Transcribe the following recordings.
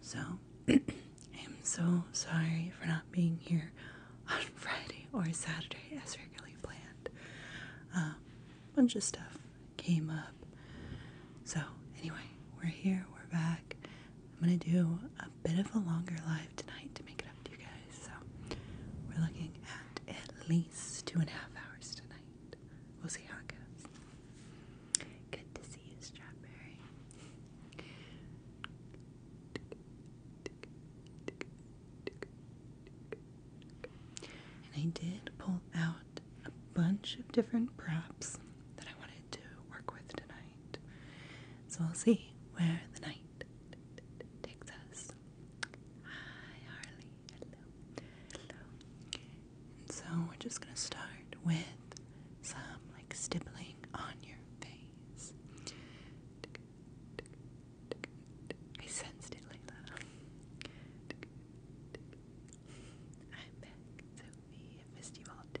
So, I am so sorry for not being here on Friday or Saturday as regularly planned. A um, bunch of stuff came up. So, anyway, we're here, we're back. I'm gonna do a bit of a longer live tonight to make it up to you guys. So, we're looking at at least two and a half hours tonight. We'll see how it goes. Good to see you, Strawberry. And I did pull out a bunch of different props that I wanted to work with tonight. So we'll see where the night takes us. Hi, Harley. And so we're just gonna start with some like stippling on your face. I sensed it, Layla. I'm you all too.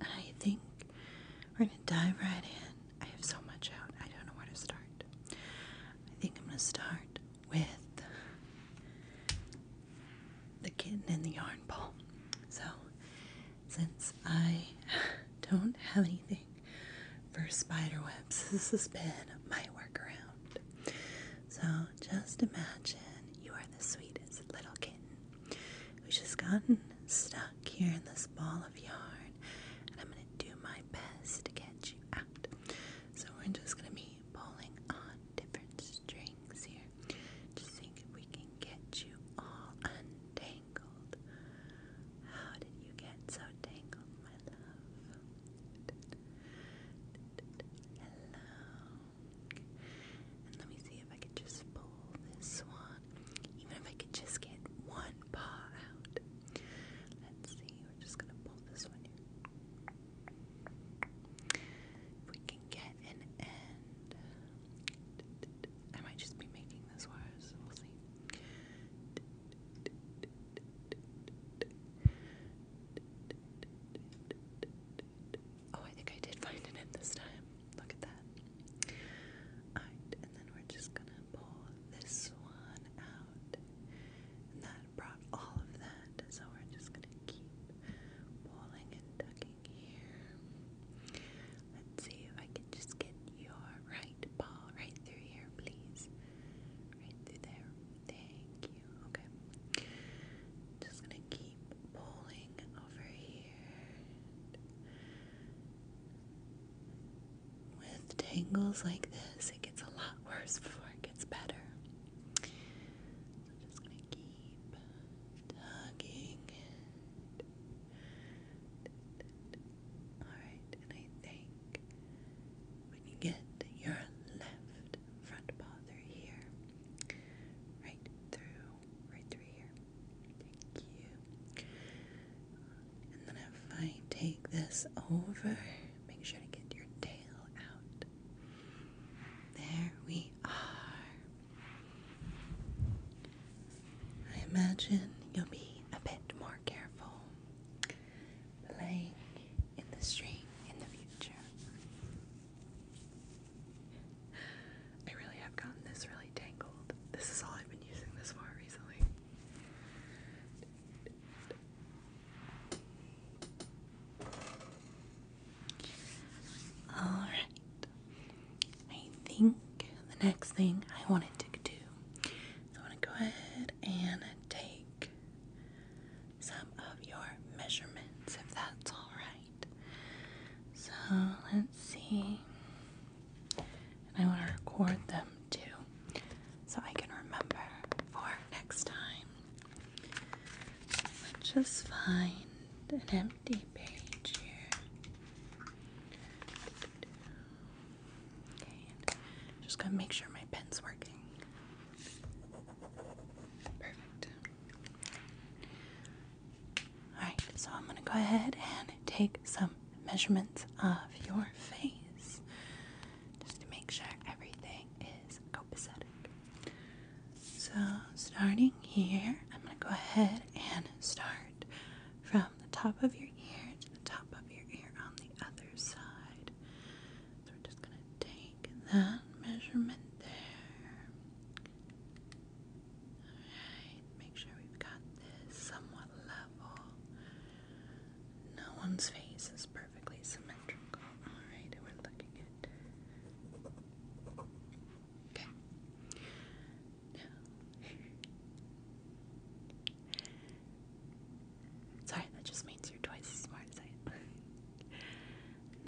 I think we're going to dive right in. I have so much out, I don't know where to start. I think I'm going to start with the kitten and the yarn ball. So, since I don't have anything for spider webs, this has been my workaround. So, just imagine you are the sweetest little kitten We've just gotten stuck here in this ball of yarn, and I'm going to do my best to get you out. So we're just going to be pulling on different strings here, just seeing if we can get you all untangled. How did you get so tangled, my love? And let me see if I can just pull this one. Even if I could just get one paw out. Let's see, we're just gonna pull this one If we can get an end. I might just be making this worse. We'll see. Oh, I think I did find an end this time. Look at that. and then we're just gonna pull this one out. that brought all of that. So we're just gonna keep pulling and tucking here. Let's see if I can just get your right paw right through here, please. Right through there. Thank you. Okay. Just gonna keep pulling over here. With tangles like this, it gets a lot worse before it gets better. So I'm just going to keep tugging Alright, and I think when you get your left front paw here, right through, right through here, Thank you. And then if I take this over, make sure to get your tail out. There we are. I imagine you'll be a bit more careful playing in the street in the future. I really have gotten this really tangled. This is all I've been using this for recently. Alright. I think the next thing I wanted to do I want to go ahead and take some of your measurements if that's alright. So let's see. And I want to record them too so I can remember for next time. Let's just find an empty page here. just going to make sure my pen's working. Perfect. Alright, so I'm going to go ahead and take some measurements of your face just to make sure everything is copacetic. So, starting here, I'm going to go ahead and start from the top of your ear to the top of your ear on the other side. So, we're just going to take that measurement there. Alright, make sure we've got this somewhat level. No one's face is perfectly symmetrical. Alright, we're looking at. Okay. Now. Sorry, that just means you're twice as smart as I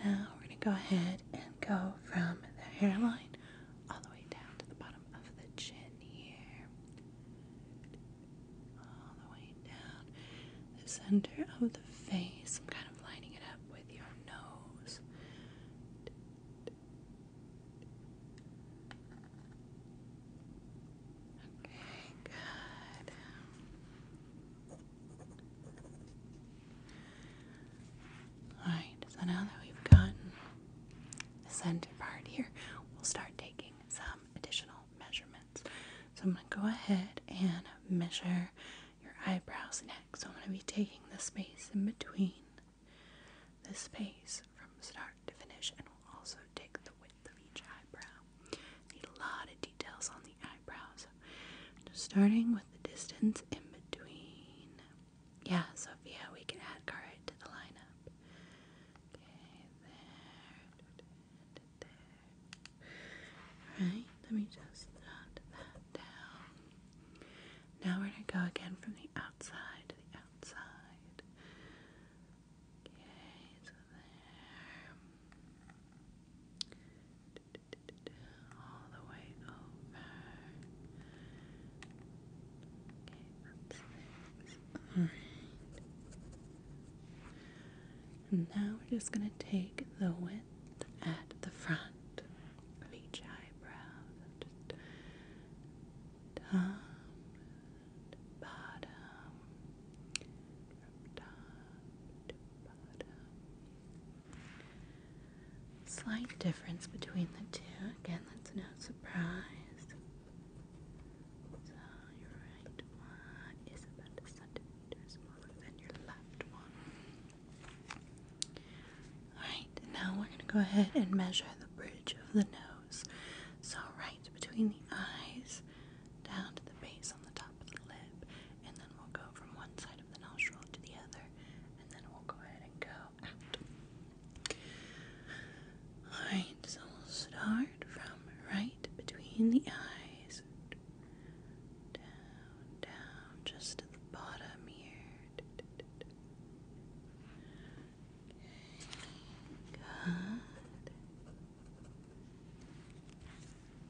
am. now we're going to go ahead and go from the hairline all the way down to the bottom of the chin here. All the way down the center of the face. I'm kind of lining it up with your nose. Okay, good. Alright, so now that we've gotten the center part here, we'll start taking some additional measurements. So I'm going to go ahead and measure your eyebrows next. So I'm going to be taking the space in between the space from start to finish and we'll also take the width of each eyebrow. Need a lot of details on the eyebrows. starting with the distance in between yeah, Sophia, we can add Carrot to the lineup. Okay, there. there. let me just jot that down. Now we're going to go again from the outside to the outside. Okay, so there all the way over. Okay, that's six. Alright. And now we're just going to take the width at the front of each eyebrow. top to bottom. From top to bottom. Slight difference between the two. Again, that's no surprise. So your right one is about a centimeter smaller than your left one. Alright, now we're going to go ahead and measure the bridge of the nose. So, right between the eyes, down to the base on the top of the lip, and then we'll go from one side of the nostril to the other, and then we'll go ahead and go Alright, so we'll start from right between the eyes. Down, down, just at the bottom here. good.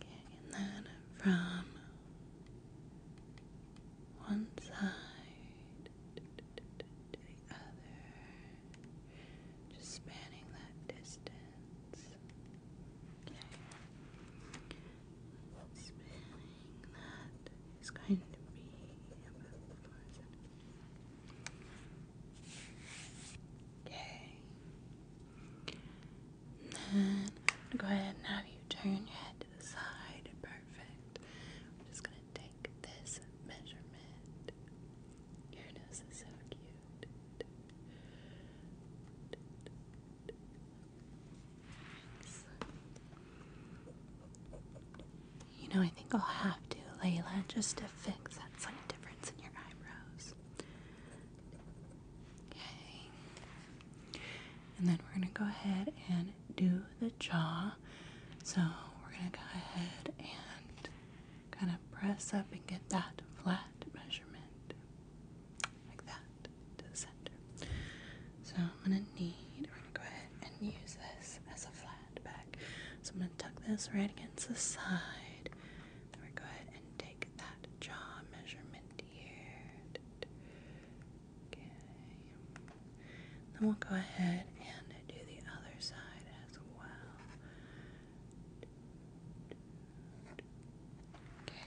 Okay, and then from one side to the other, just spanning that distance. Okay. Spanning that is going to be about four Okay. then go ahead and have you turn your head to the side perfect. I'm just gonna take this measurement. Your nose is so cute. You know, I think I'll have to, Layla, just to fix that slight difference in your eyebrows. Okay. And then we're going to go ahead and do the jaw. So we're going to go ahead and kind of press up and get that flat measurement like that to the center. So I'm going to need, we're going to go ahead and use this as a flat back. So I'm going to tuck this right against the side. Then we're going to go ahead and take that jaw measurement here. Then we'll go ahead and do the other side as well. Okay.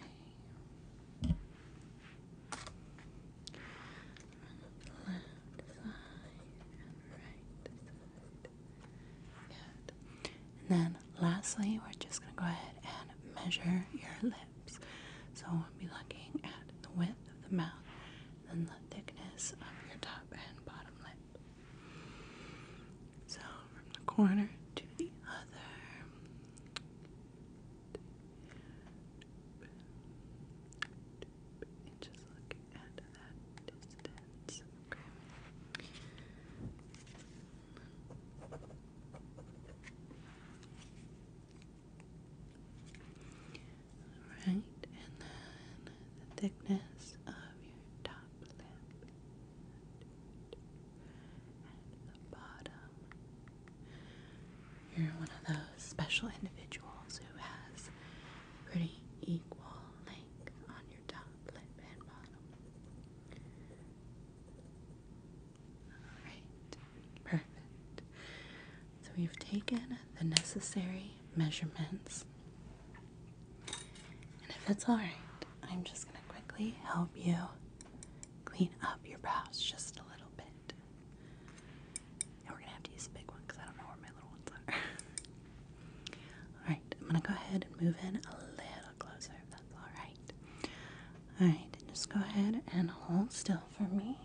Left side and right side. And then lastly, we're just going to go ahead and measure your lip. So I'll be looking at the width of the mouth and the thickness of your top and bottom lip. So from the corner to the other. just looking at that distance. Okay. Alright, and the thickness of your top lip and the bottom. You're one of those special individuals who has pretty equal length on your top lip and bottom. Alright. Perfect. So we've taken the necessary measurements. And if that's alright, I'm just going to quickly help you clean up your brows just a little bit. we're going to use the big one because I don't know where my little ones are. alright, I'm going to go ahead and move in a little closer if that's alright. Alright, just go ahead and hold still for me.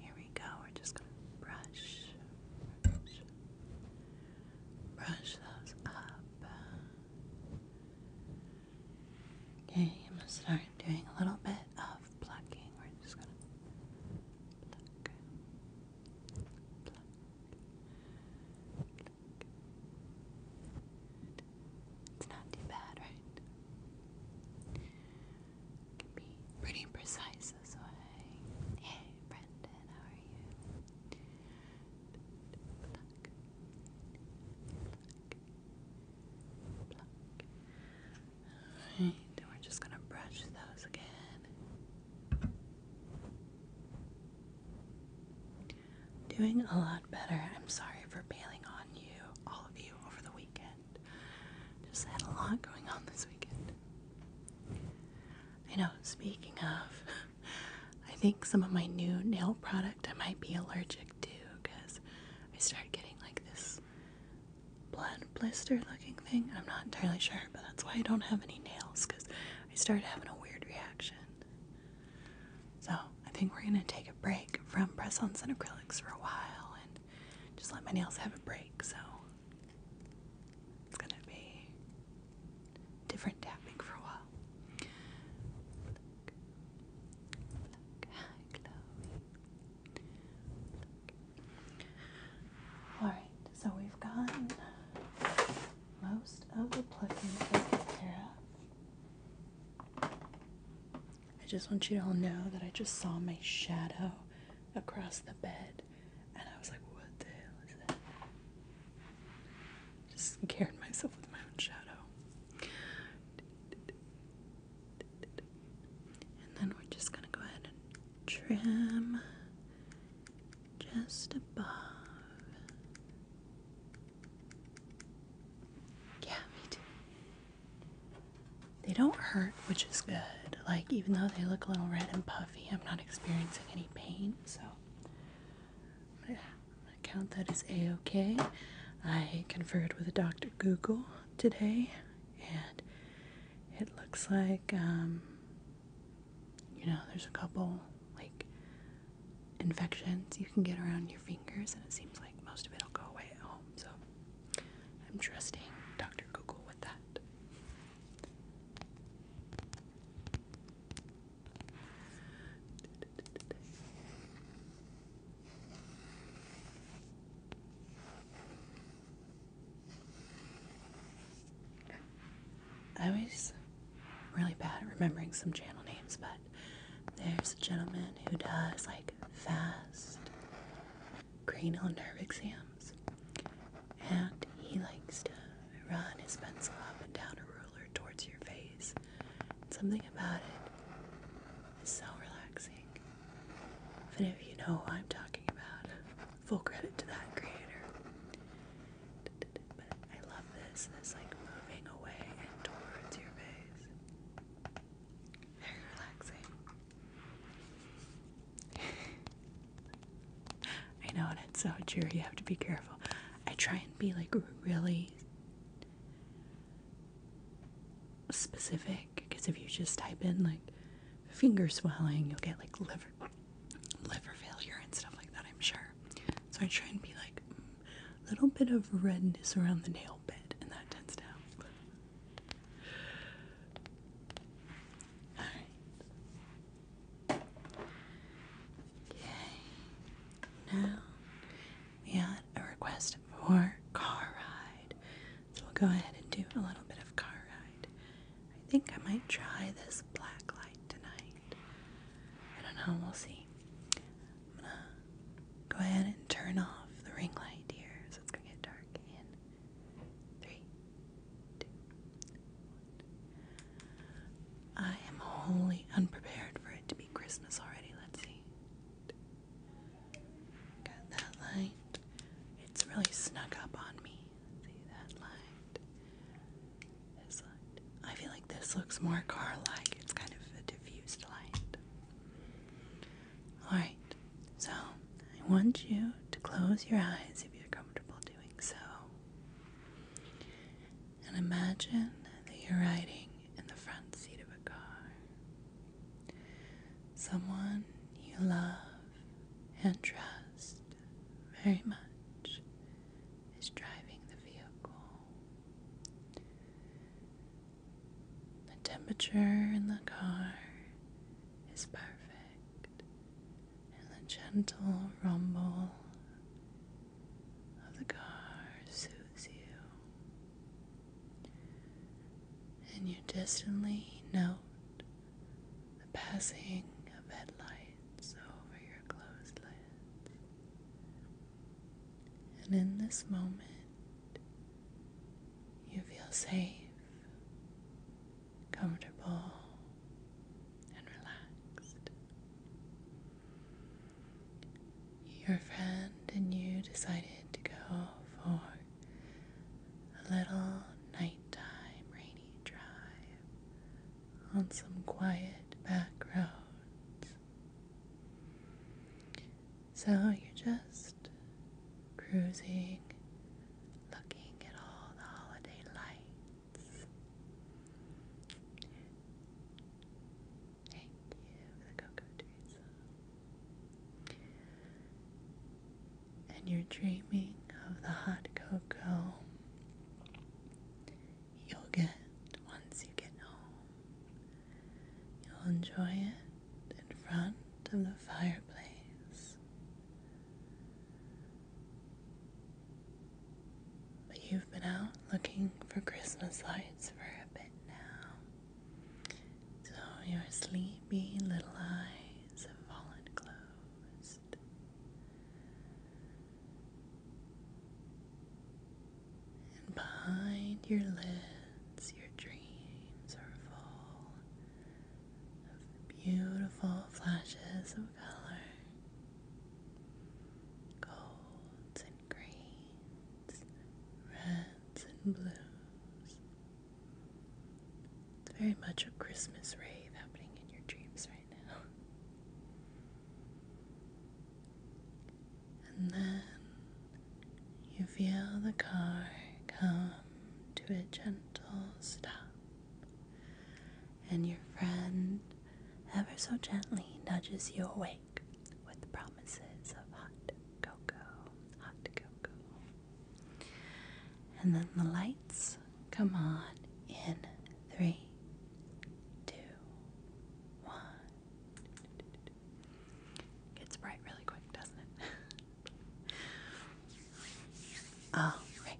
Here we go. We're just going to brush, brush, those up. Okay, I'm going to start doing a little bit of plucking. We're just going to Good. It's not too bad, right? Can be pretty precise this way. Hey, Brendan, how are you? Alright, we're just gonna brush those again doing a lot better. I'm sorry for bailing on you, all of you, over the weekend. Just had a lot going on this weekend. You know, speaking of, I think some of my new nail product I might be allergic to because I started getting like this blood blister looking thing. I'm not entirely sure, but that's why I don't have any nails because I started having a weird reaction. So I think we're gonna take a break from press ons and acrylics for a while and just let my nails have a break. So it's gonna be different tapping for a while. All right, so we've gotten most of the plucking taken care of. I just want you to all know that I just saw my shadow across the bed and I was like, what the hell is that? Just scared myself with my own shadow. And then we're just gonna go ahead and trim just above yeah, me too. They don't hurt, which is good. Like, even though they look a little red and puffy, I'm not experiencing any pain, so I'm gonna, i count that as a okay. I conferred with Dr. Google today, and it looks like, um, you know, there's a couple like infections you can get around your fingers, and it seems like most of it will go away at home. So I'm trusting Dr. Google with that. I was. I'm really bad at remembering some channel names, but there's a gentleman who does like fast cranial nerve exams, and he likes to run his pencil up and down a ruler towards your face. something about it is so relaxing. If any of you know what I'm talking about, full credit to that creator. But I love this, this like moving away and towards your face. Very relaxing. I know, and it's so true. You have to be careful. I try and be like really specific because if you just type in like finger swelling, you'll get like liver liver failure and stuff like that. I'm sure. So I try and be like a little bit of redness around the nail bed, and that tends to help. Alright. Now we had a request for car ride. So we'll go ahead and do a little bit of car ride. I think I might try this black light tonight. I don't know, we'll see. I'm gonna go ahead and turn off the ring light here so it's gonna get dark in three, two, one. I am wholly unprepared for it to be Christmas already. Let's see. Got that light. It's really snuck up on me. see that light. I feel like this looks more car like. It's kind of a diffused light. Alright, so I want you to close your eyes if you're comfortable doing so. And imagine that you're riding in the front seat of a car. Someone you love and trust very much is driving the vehicle. The temperature in the car is perfect, and the gentle rumble of the car soothes you. And you distantly note the passing of headlights over your closed lids. And in this moment, you feel safe, comfortable, and relaxed. Your friend and you decided to go for a little nighttime rainy drive on some quiet back so you're just cruising, looking at all the holiday lights. Thank you for the cocoa, Teresa. And you're dreaming of the hot cocoa you'll get once you get home. You'll enjoy it in front of the fireplace. But you've been out looking for Christmas lights for a bit now, so your sleepy little eyes have fallen closed. And behind your lids, your dreams are full of beautiful flashes of color golds and greens, reds and blues. It's very much a Christmas rave happening in your dreams right now. And then you feel the car come to a gentle stop, and your friend ever so gently nudges you awake with promises of hot cocoa, hot cocoa. And then the lights come on in three, two, one. Gets bright really quick, doesn't it? All oh, right.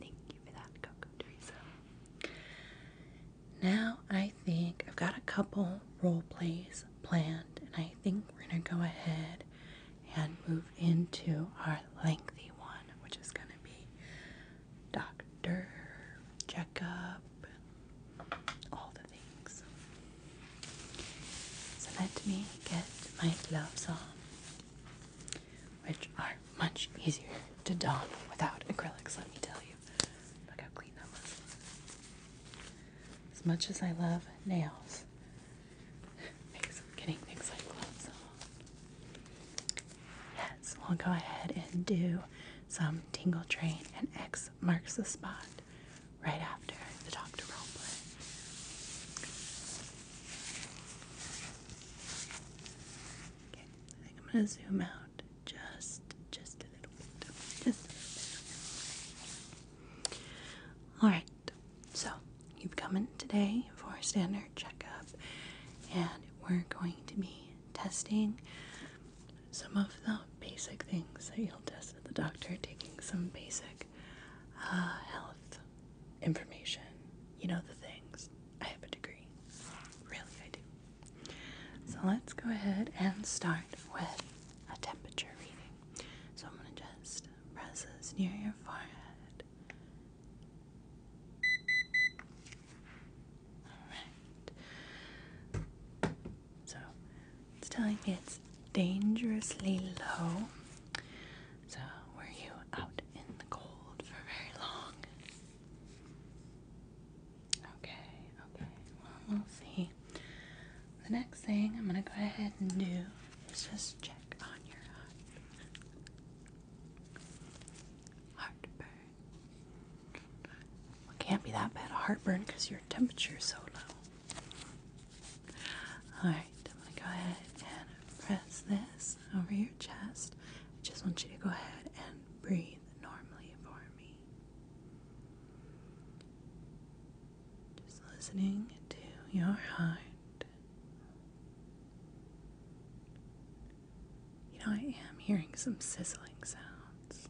Thank you for that, Coco Teresa. Now I think I've got a couple role plays planned, and I think we're gonna go ahead and move into our lengthy one, which is gonna be doctor Jacob all the things. So let me get my gloves on, which are much easier to don without acrylics, let me tell you. Look how clean that was. As much as I love nails, makes getting things like gloves on. Yes, we'll go ahead and do some Tingle Train and X marks the spot right after the Doctor roleplay. Okay, I think I'm gonna zoom out just just a little bit. Just a little bit. Alright, so you've come in today for a standard checkup and we're going to be testing some of the basic things that you'll test at the doctor, taking some basic uh, health information. You know the things. I have a degree. Really, I do. So let's go ahead and start with a temperature reading. So I'm going to just press this near your forehead. Alright. So it's telling it's dangerously low. So were you out in the cold for very long? Okay, okay. Well, we'll see. The next thing I'm gonna go ahead and do is just check on your heart. Heartburn it can't be that bad a heartburn because your temperature is so low. Alright, I'm going to go ahead and press this over your chest. I just want you to go ahead and breathe normally for me. Just listening to your heart. You know, I am hearing some sizzling sounds.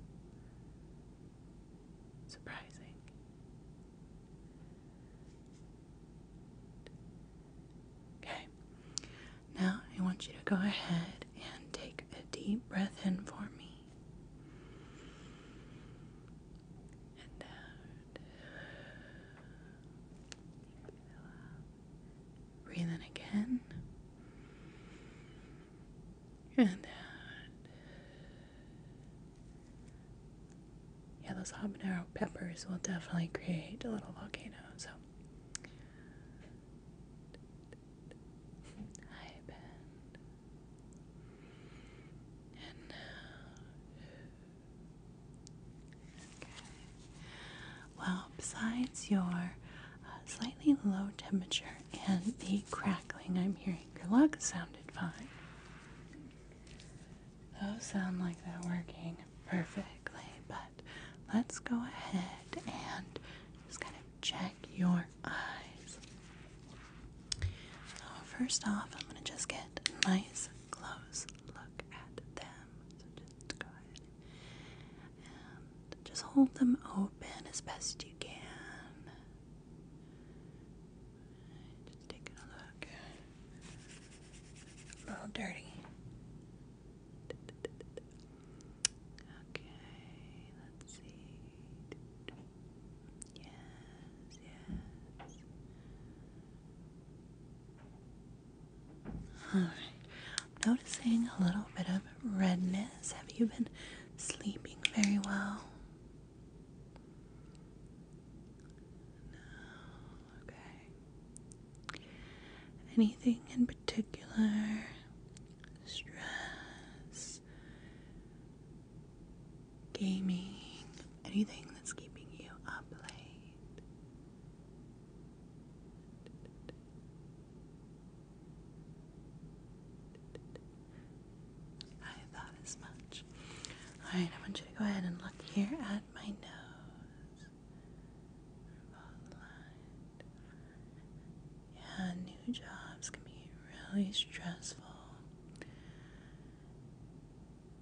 Surprising. Okay. Now I want you to go ahead and take a deep breath in for me. And out. Uh, breathe in again. And yeah, those habanero peppers will definitely create a little volcano. So, hi Ben. And now, uh, okay. Well, besides your uh, slightly low temperature and the crackling I'm hearing. Your lug sounded fine. Those sound like they're working perfectly, but let's go ahead and just kind of check your eyes. So, first off, I'm going to just get a nice close look at them. So, just go ahead just hold them open as best you can. Just taking a look. A little dirty. Okay, let's see. Yes, yes. Alright, noticing a little bit of redness. Have you been sleeping very well. No, okay. Anything in particular? Stress, gaming, anything that's keeping you up late? I thought as much. Alright, I want you to go ahead and look here at my nose. Yeah, new jobs can be really stressful.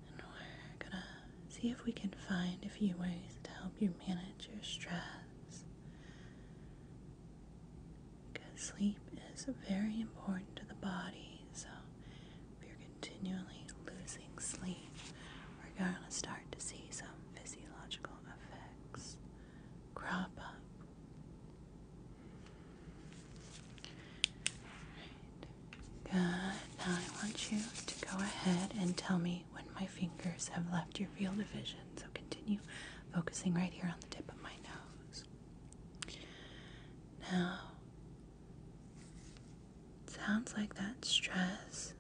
And we're gonna see if we can find a few ways to help you manage your stress because sleep is very important to the body. So, if you're continually losing sleep, we're going to start to see some physiological effects crop up. Good. Now, I want you to go ahead and tell me when my fingers have left your field of vision. So, continue focusing right here on the tip of my nose. Now, sounds like that stress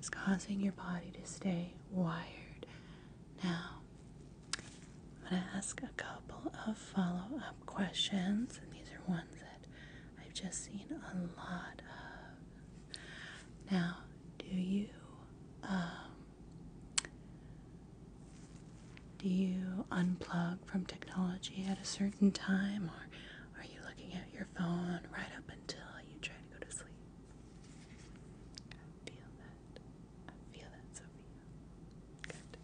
is causing your body to stay wired. Now, I'm going to ask a couple of follow up questions, and these are ones that I've just seen a lot of. Now, do you um, do you unplug from technology at a certain time, or are you looking at your phone right up until you try to go to sleep? I feel that. I feel that, Sophia. Good.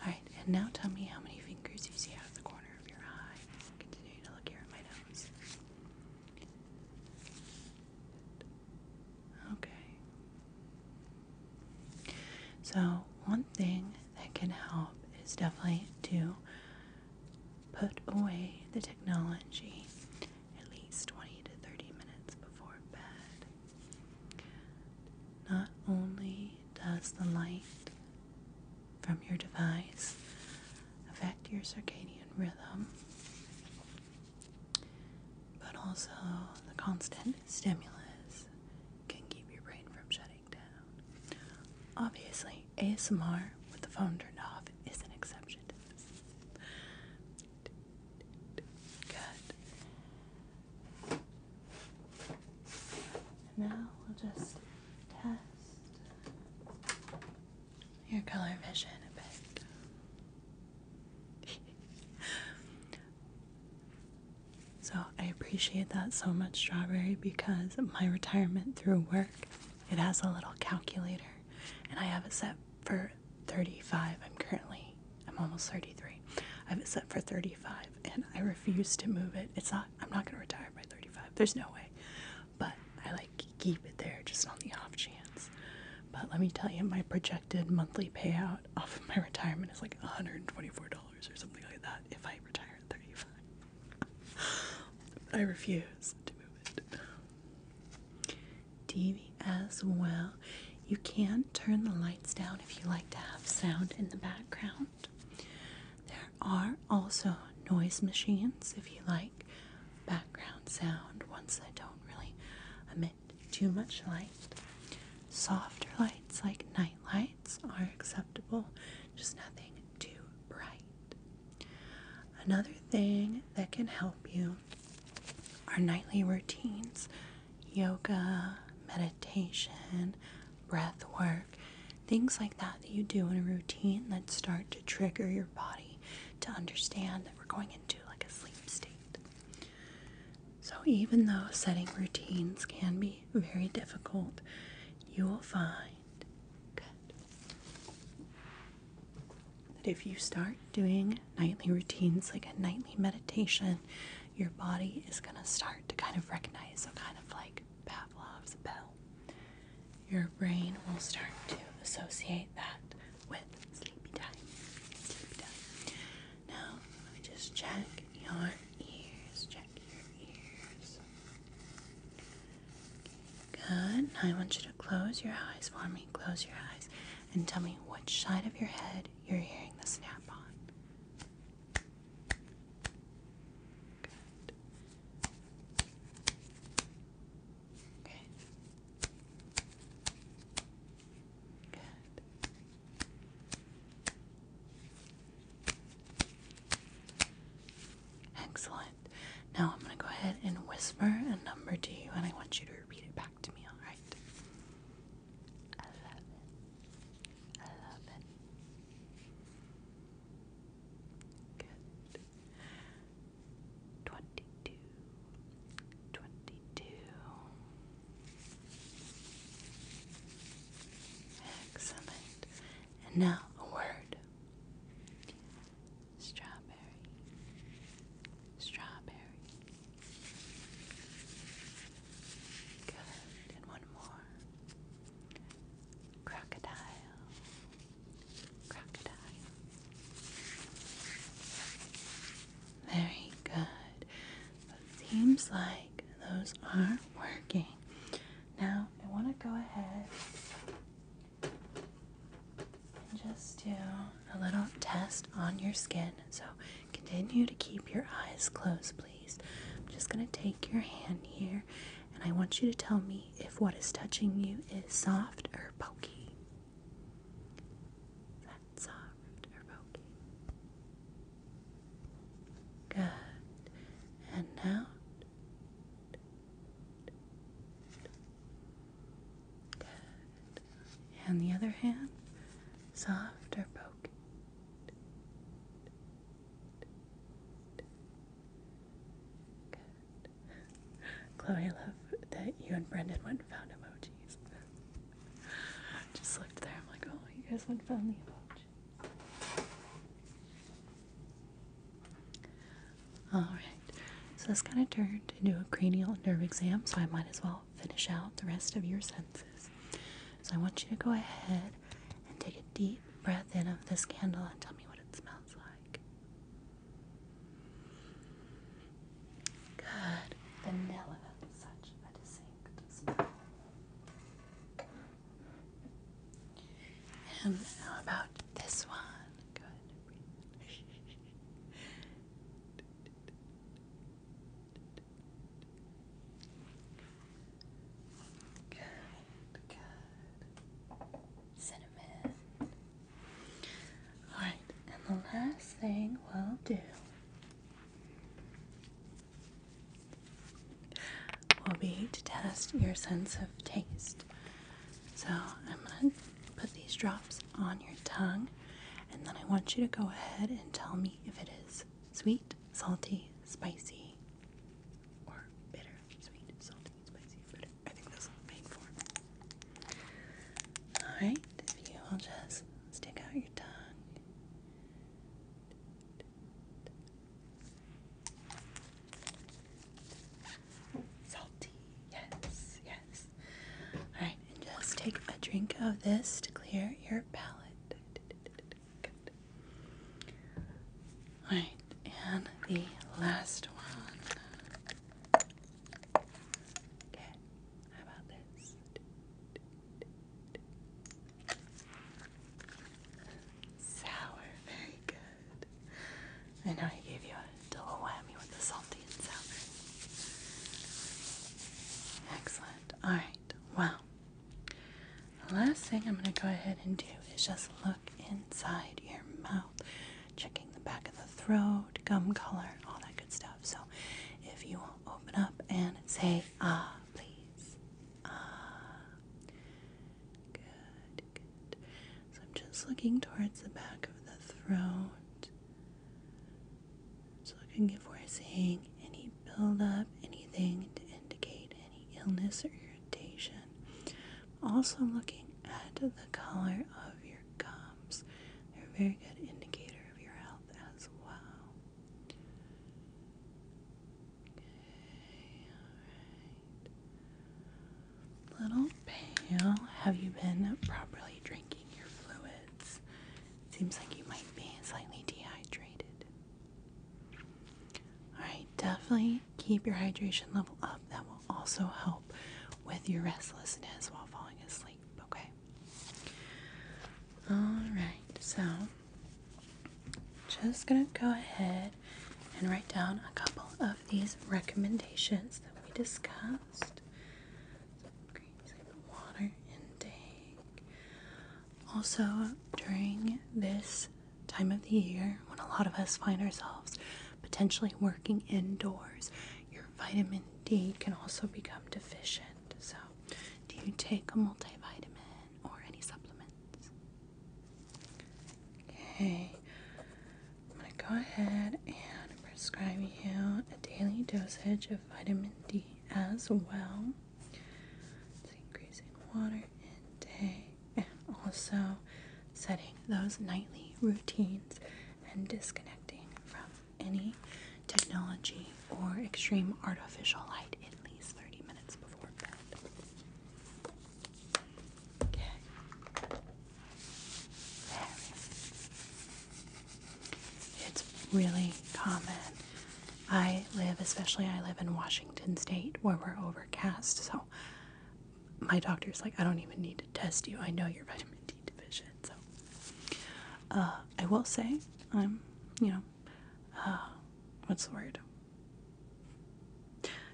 Alright, and now tell me how many fingers you see out of the corner of your eye. Continue to look here at my nose. Okay. So, one thing that can help is definitely to put away the technology at least 20 to 30 minutes before bed. Not only does the light from your device affect your circadian rhythm, but also, the constant stimulus can keep your brain from shutting down. Obviously, ASMR with the phone turned off is an exception to this. Good. Now we'll just test your color vision a bit. so I appreciate that so much, Strawberry, because my retirement through work, it has a little calculator and I have it set for 35. I'm currently, I'm almost 33. I have it set for 35 and I refuse to move it. It's not, I'm not going to retire by 35. There's no way. But I like keep it there just on the off chance. But let me tell you, my projected monthly payout off of my retirement is like $124 or something like that if I retire at 35. I refuse to move it. TV as well. You can turn the lights down if you like to have sound in the background. There are also noise machines if you like background sound, ones that don't really emit too much light. Softer lights like night lights are acceptable, just nothing too bright. Another thing that can help you are nightly routines yoga, meditation, breath work, things like that that you do in a routine that start to trigger your body to understand that we're going into like a sleep state. So, even though setting routines can be very difficult, you will find that if you start doing nightly routines like a nightly meditation, your body is going to start to kind of recognize, so kind of like Pavlov's bell. Your brain will start to associate that with sleepy time. Sleepy time. Now, just check your ears. Check your ears. Good. I want you to close your eyes for me. Close your eyes and tell me which side of your head you're hearing the snap on. Good. Excellent. Now I'm going to go ahead and whisper a number to you, and I want you to repeat it back to me, alright? 22 Excellent. And now a word. Strawberry. Strawberry. Good. And one more. Crocodile. Crocodile. Very good. seems like those are working. Now I want to go ahead and just do a little test on your skin. So continue to keep your eyes closed, please. I'm just going to take your hand here and I want you to tell me if what is touching you is soft or pokey. That's soft or poking. Good. And now. Good. And the other hand, soft or poking. Good. Chloe, I love that you and Brendan went found emoji emojis. Just looked there. I'm like, oh, you guys went found the emojis. Alright, so this kind of turned into a cranial nerve exam, so I might as well finish out the rest of your senses. So I want you to go ahead and take a deep breath in of this candle and tell me what it smells like. Good. Vanilla. Such a distinct smell. And how about this one? Good. Good, Cinnamon. Alright, and the last thing we'll do will be to test your sense of taste. So I'm going to put these drops on your tongue, and then I want you to go ahead and tell me if it is sweet, salty, spicy, or bitter. Sweet, salty, spicy, bitter. I think that's what I'm paying Alright, if you will just stick out your tongue. Salty, yes, yes. Alright, and just take a drink of this to clear your palate. Alright, and the last one. Okay, how about this? Sour, very good. I know I gave you a double whammy with the salty and sour. Excellent. Alright, well, the last thing I'm going to go ahead and do is just look inside your mouth, checking the back of the throat, gum color, all that stuff. So if you open up and say ah, please. Ah. Good, So I'm just looking towards the back of the throat. so looking if we're seeing any build up anything to indicate any illness or irritation. also looking at the color of your gums. They're very good indicators. Little pale, have you been properly drinking your fluids? Seems like you might be slightly dehydrated. Alright, definitely keep your hydration level up. That will also help with your restlessness while falling asleep, okay? Alright, so just gonna go ahead and write down a couple of these recommendations that we discussed. Increasing Also, during this time of the year when a lot of us find ourselves potentially working indoors, your vitamin D can also become deficient. So, do you take a multivitamin or any supplements? Okay, I'm going to go ahead and prescribe you a daily dosage of vitamin D as well. increasing water intake and also setting those nightly routines and disconnecting from any technology or extreme artificial light at least 30 minutes before bed. It's really common. I live, especially I live in Washington State where we're overcast, so my doctor's like, I don't even need to test you. I know your vitamin D division. So uh, I will say I'm, you know, uh, what's the word?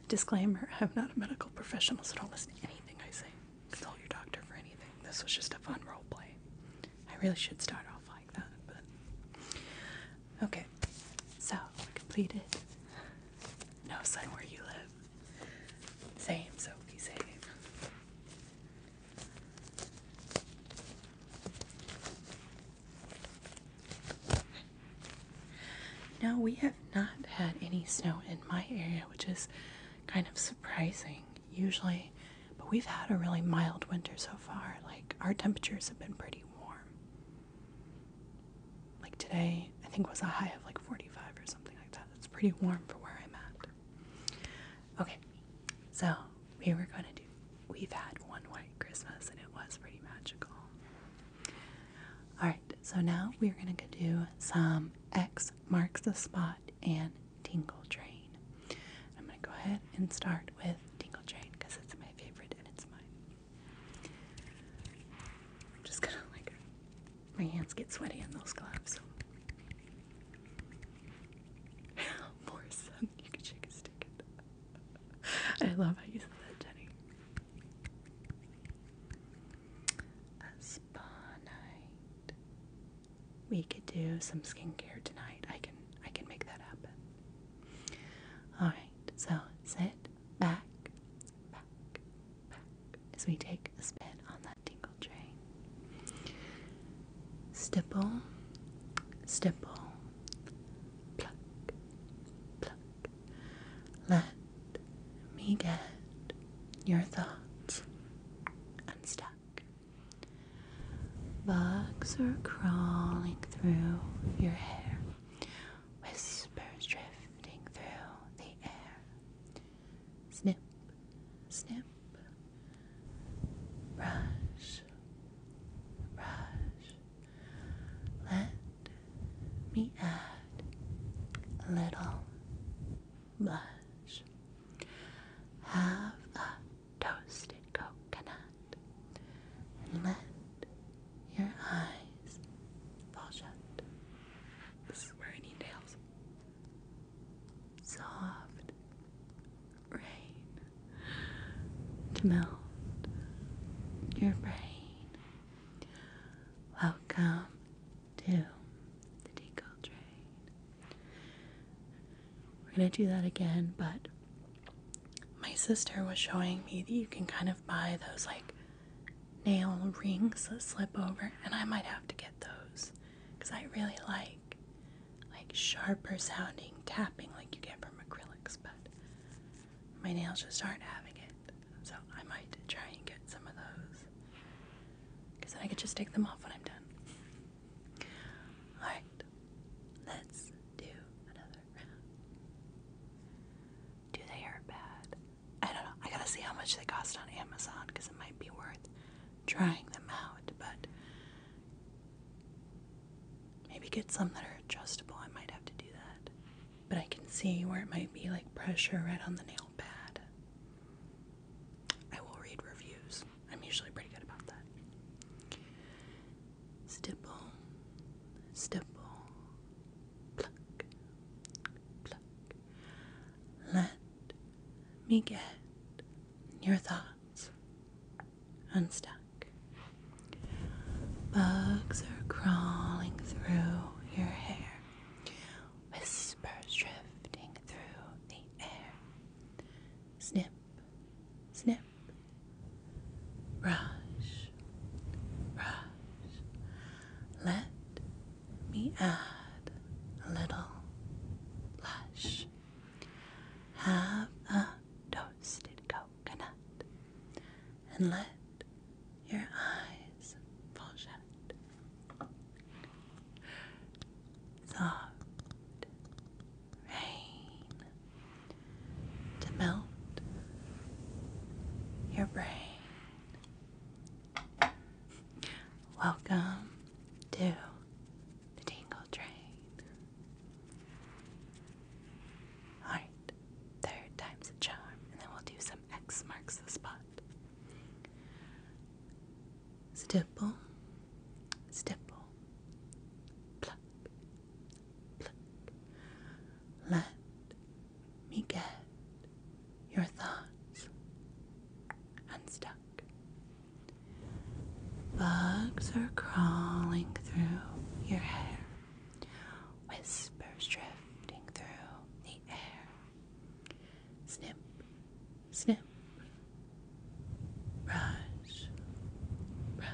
Disclaimer: I'm not a medical professional, so don't listen to anything I say. Consult your doctor for anything. This was just a fun role play. I really should start off like that, but okay. So we completed. No sign where you live. Same, so Sophie. Same. No, we have not had any snow in my area, which is kind of surprising usually, but we've had a really mild winter so far. Like, our temperatures have been pretty warm. Like, today, I think was a high of like 45 or something like that. That's pretty warm for where I'm at. Okay, so we were going to do, we've had one white Christmas and it was pretty magical. Alright, so now we're going to do some X marks the spot and Tingle Train. I'm going to go ahead and start with Tingle Train because it's my favorite and it's mine. I'm just going to like, my hands get sweaty in those gloves. Morrison, you can shake a stick. I love how you said that, Jenny. A spa night. We could do some skincare tonight. I can I can make that happen. Alright, so sit back, back, back as we take a spin on that tingle. Eldray. Stipple, stipple, pluck, pluck. Let me get your thoughts unstuck. Bugs are crawling through your hair, whispers drifting through the air. Snip, snip, brush, brush. Let me add a little blush. Have a toasted coconut and let your eyes fall shut. This is where I nails soft rain to melt your brain. Welcome to the Deco Train. We're gonna do that again, but my sister was showing me that you can kind of buy those like nail rings that slip over, and I might have to get those because I really like like sharper sounding tapping like you get from acrylics, but my nails just aren't having it. So I might try and get some of those. Because then I could just take them off when I'm done. Alright, let's do another round. Do they hurt bad? I don't know. I gotta see how much they cost on Amazon because it might be worth trying them out, but maybe get some that are adjustable. I might have to do that. But I can see where it might be like pressure right on the nail pad. I will read reviews. I'm usually pretty good about that. Stipple, stipple, pluck, pluck. Let me get your thoughts unstuck. Bugs are crawling through your hair, whispers drifting through the air. Snip, snip, rush, brush. Let me add a little blush. Have a toasted coconut and let your eyes fall shut. Soft rain to melt your brain. Welcome to the tangle Train. Alright, third time's a charm, and then we'll do some X marks the spot. Stipple, stipple, pluck, pluck. Let me get your thoughts unstuck. Bugs are crawling through your hair, whispers drifting through the air. Snip, snip, brush, brush.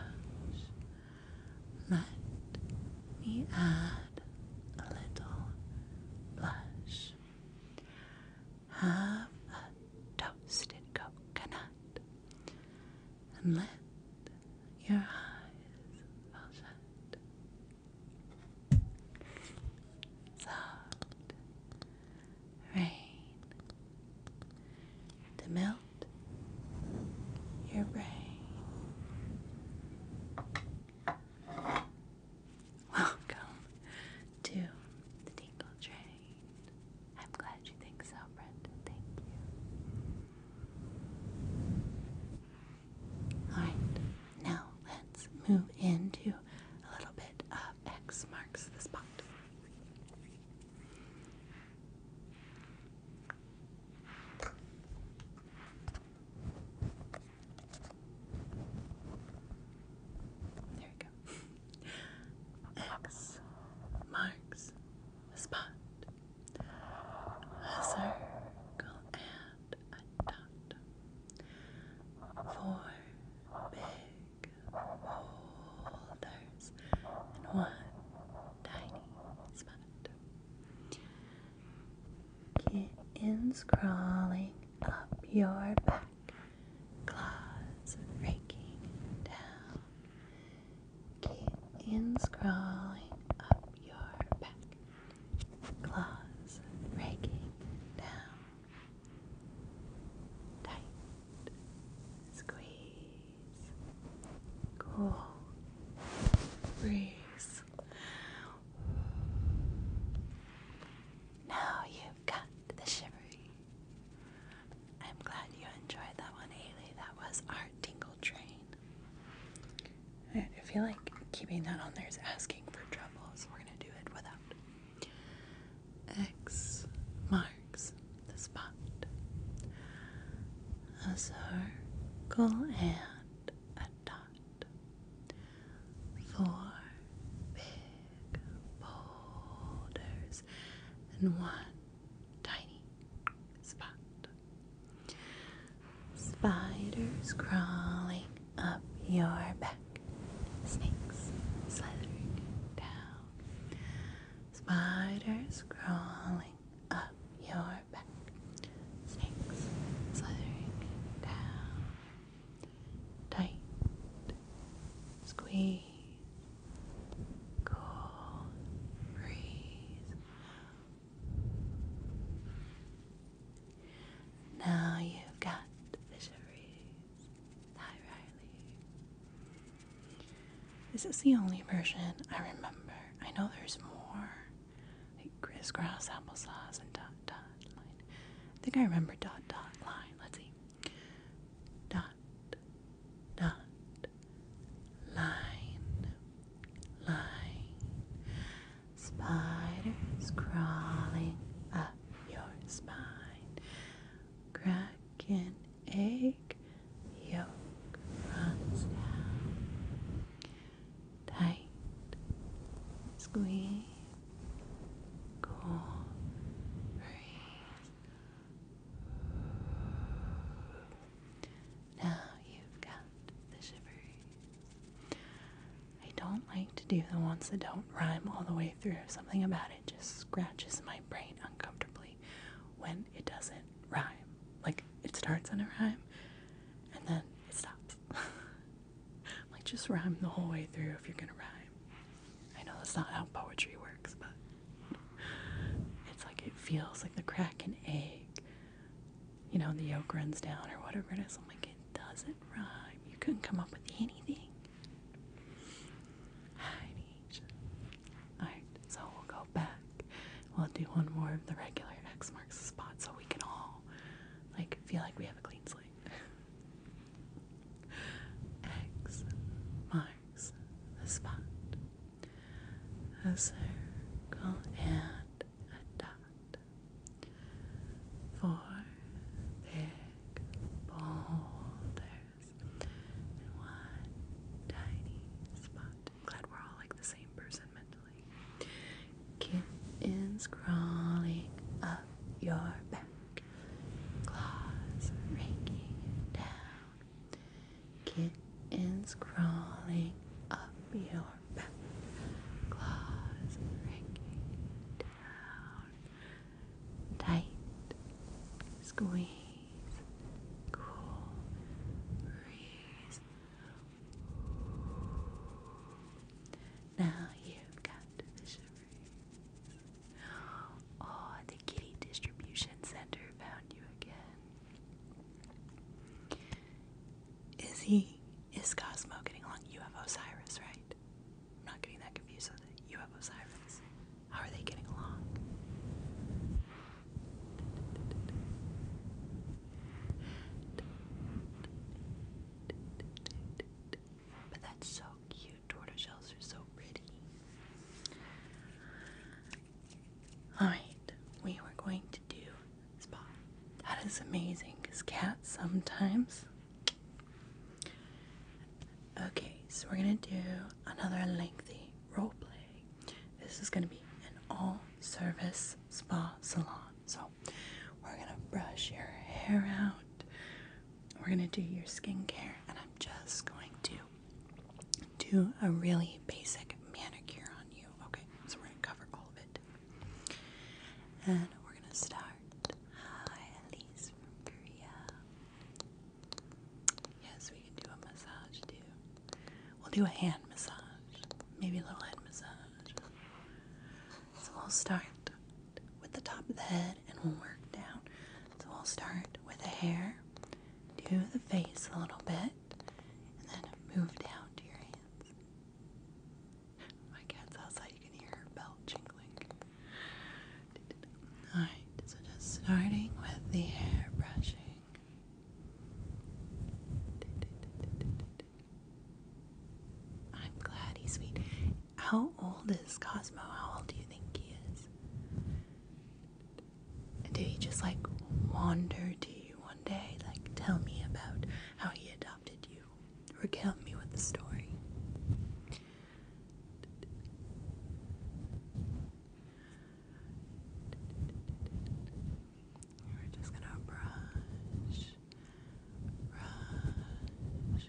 Let me add a little blush. Have toasted coconut and let your eyes fall Soft rain to melt your brain. Welcome to the Tinkle Tray. I'm glad you think so, Brendan. Thank you. Alright, now let's move into a little bit of X marks the spot. There we go. X marks the spot. circle and a dot. Four big boulders in one tiny spot. Kittens crawling up your back claws raking down. Kittens crawling up your back, claws raking down. Tight squeeze, cool breeze. Now you've got the shivery. I'm glad you enjoyed that one, Haley. That was our tingle train. I feel like keeping that on there is asking for trouble, so we're gonna do it without. X marks the spot. A circle and a dot. Four boulders in one tiny spot. Spiders crawling up your back. Snakes slithering down. Spiders crawling up your back. Snakes slithering down. Tight. Squeeze cool breeze. Now you've got the shiveries. Hi, This is the only version I remember. I know there's more, like crisscross applesauce and dot dot line. I think I remember dot dot line. Let's see dot dot line line spiders crawling up your spine Cracking an egg yolk runs down tight squeeze cool breeze now you've got the shivery. I don't like to do the ones that don't rhyme all the way through. Something about it just scratches my brain uncomfortably when it doesn't rhyme. Like it starts on a rhyme and then it stops. like just rhyme the whole way through if you're gonna rhyme. I know that's not how poetry works, but it's like it feels like the cracking egg. You know, the yolk runs down or whatever it is. I'm like, it doesn't rhyme. You couldn't come up with anything. Alright, so we'll go back. We'll do one more of the regular X marks the spot so we can all like feel like we have a clean slate. X marks marks the spot. A circle and a dot. Four big boulders and one tiny spot. i glad we're all like the same person mentally. Kittens crawling up your back, claws raking down Kittens crawling up your back, claws ringing down. Tight, squeeze, cool, breeze. Now you've got the shivers. Oh, the Kitty Distribution Center found you again. Is he, is Cosmo getting along? You have Osiris, right? I'm not getting that confused with it. You have Osiris. How are they getting along? But that's so cute cute. Tortoiseshells are so pretty. Alright, we were going to do spa. That is amazing because cats sometimes. Okay, so we're going to do another lengthy role play. This is going to be an all service spa salon. So we're going to brush your hair out. We're going to do your skincare, and I'm just going to do a really basic manicure on you. Okay, so we're going to cover all of it. And we're going to start. Hi, Elise from Korea. Yes, we can do a massage too. We'll do a hand massage, maybe a little head massage. So we'll start with the top of the head and we'll work down. So we'll start with the hair do the face a little bit, and then move down to your hands. My cat's outside, you can hear her bell jingling. Alright, so just starting with the hair brushing. I'm glad he's sweet. How old is Cosmo? How old do you think he is? did he just like wander to you one day? Like, tell me about how he adopted you. or Recount me with the story. We're just gonna brush, brush, brush.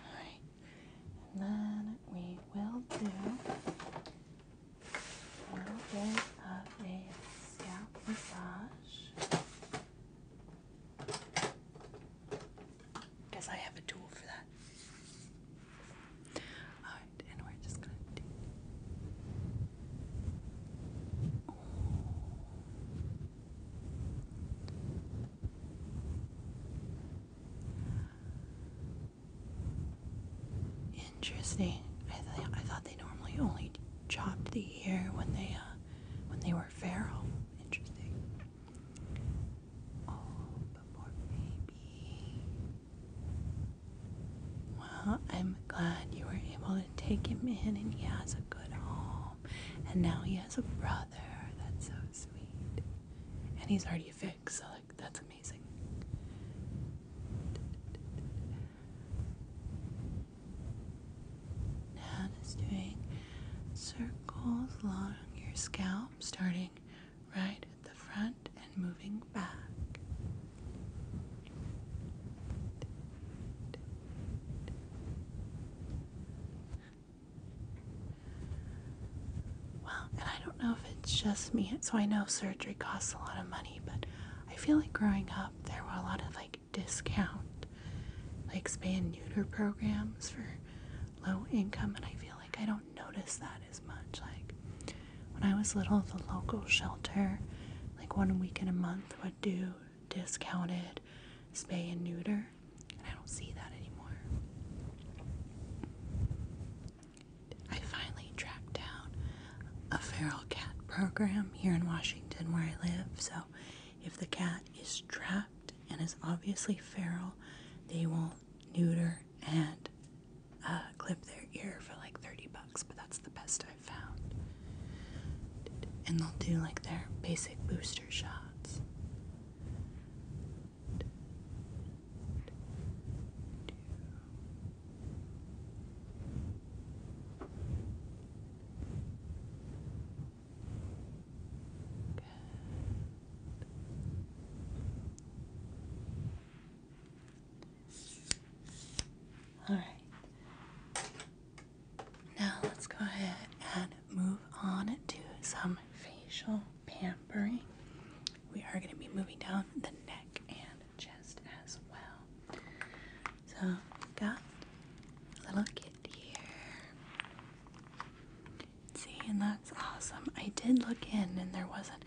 Alright, and then we will do a little bit of a scalp massage. Because I have a tool for that. Alright, and we're just gonna do Interesting. I th I thought they normally only chopped the ear when they uh, when they were feral. Interesting. Oh, but poor well, I'm glad you were able to take him in and he has a good home. And now he has a brother. That's so sweet. And he's already fixed, so like that's amazing. Now just doing circles along your scalp, starting right at the front and moving back. Well, and I don't know if it's just me, so I know surgery costs a lot of money, but I feel like growing up there were a lot of like discount, like spay and neuter programs for low income, and I feel like I don't notice that as much. Like when I was little, the local shelter, like one week in a month, do discounted spay and neuter, and I don't see that anymore. I finally tracked down a feral cat program here in Washington where I live. So, if the cat is trapped and is obviously feral, they will neuter and uh, clip their ear for like 30 bucks, but that's the best found. And they'll do like their basic booster shots. All right. Now let's go ahead and move on to some facial pampering. We are going to be moving down the neck and chest as well. So, we've got a little kit here. See, and that's awesome. I did look in and there wasn't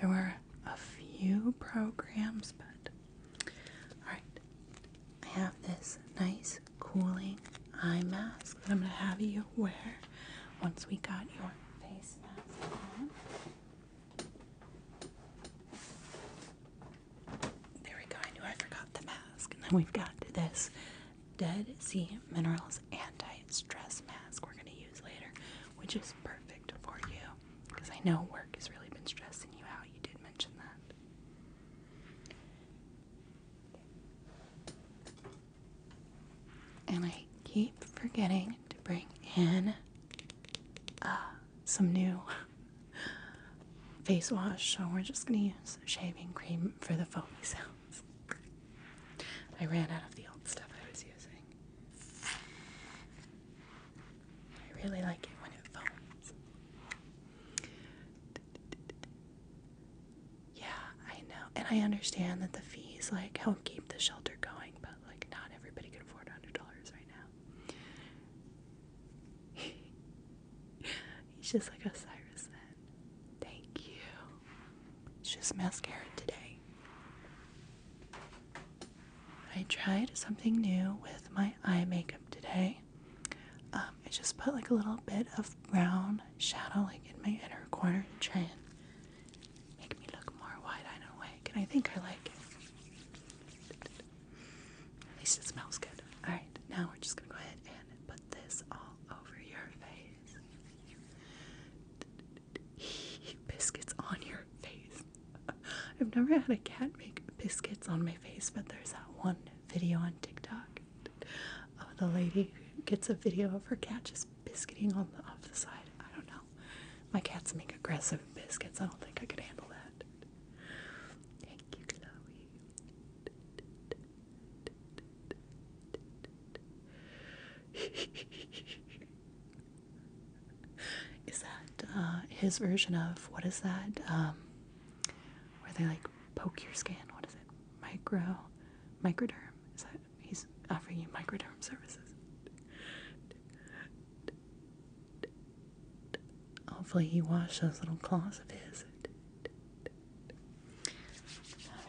there were a few programs, but Alright, I have this nice cooling eye mask that I'm going to have you wear once we got your face mask on. There we go, I knew I forgot the mask. And then we've got this Dead Sea Minerals Anti Stress Mask we're going to use later, which is perfect for you because I know work has really been stressing you out. You did mention that. And I keep forgetting to bring in uh, some new face wash, so we're just gonna use shaving cream for the foamy sounds. I ran out of the old stuff I was using. I really like it when it foams. Yeah, I know. And I understand that the fees like help keep the shelter going, but like not everybody can afford $100 right now. He's just like Osiris then. Thank you. It's just mascara today. I tried something new with my eye makeup today. Um, I just put like a little bit of brown shadow like in my inner corner to try and make me look more wide-eyed and awake. And I think I like it. At least it smells good. Alright, now we're just gonna go ahead and put this all over your face. Biscuits on your face. I've never had a cat make biscuits on my face, but there's that one video on TikTok of the lady gets a video of her cat just biscuiting on off the side. I don't know. My cats make aggressive biscuits. I don't think I could handle that. Thank you, Chloe. is that uh, his version of what is that? Um, where they like poke your skin? What is it? Micro, microderm? Is that he's offering you microderm services? Hopefully, he washed those little claws of his. Alright.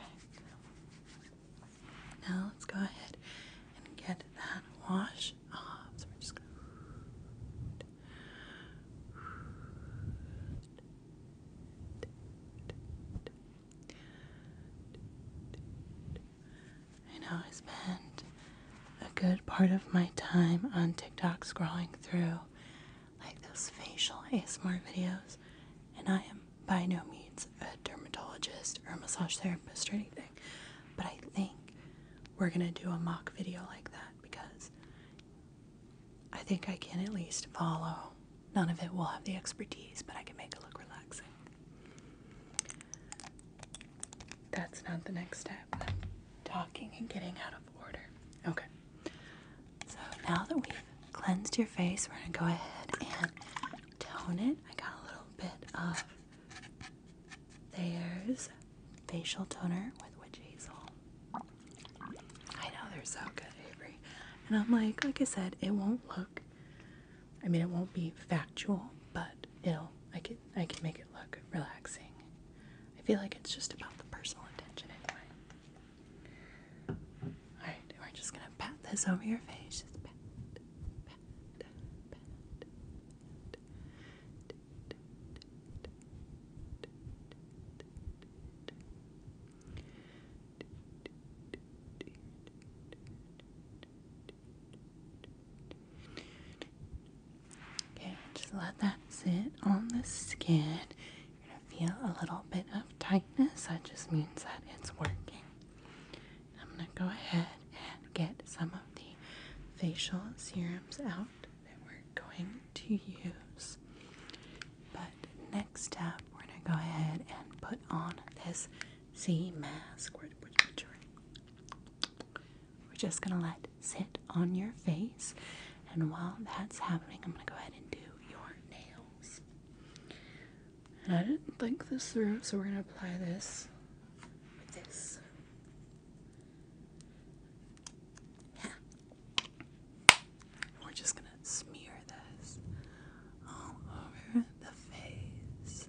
Now let's go ahead and get that wash. I know I spend a good part of my time on TikTok scrolling through like those facial ASMR videos, and I am by no means a dermatologist or a massage therapist or anything, but I think we're gonna do a mock video like that because I think I can at least follow. None of it will have the expertise, but I can make it look relaxing. That's not the next step. talking and getting out of order. Okay. So now that we've cleansed your face, we're going to go ahead and tone it. I got a little bit of layers facial toner with witch hazel. I know they're so good, Avery. And I'm like, like I said, it won't look. I mean, it won't be factual, but it'll. I can I can make it look relaxing. I feel like it's just about the personal intention anyway. All right, we're just gonna pat this over your face. Just pat, pat, pat, Okay, just let that sit on the skin. You're gonna feel a little bit of tightness. That just means that it's working. I'm gonna go ahead and get some of the facial serums out that we're going to use. But next step, we're going to go ahead and put on this C mask. We're, just going to let sit on your face. And while that's happening, I'm going to go ahead and do your nails. I didn't think this through, so we're going to apply this with this and we're just gonna smear this all over the face.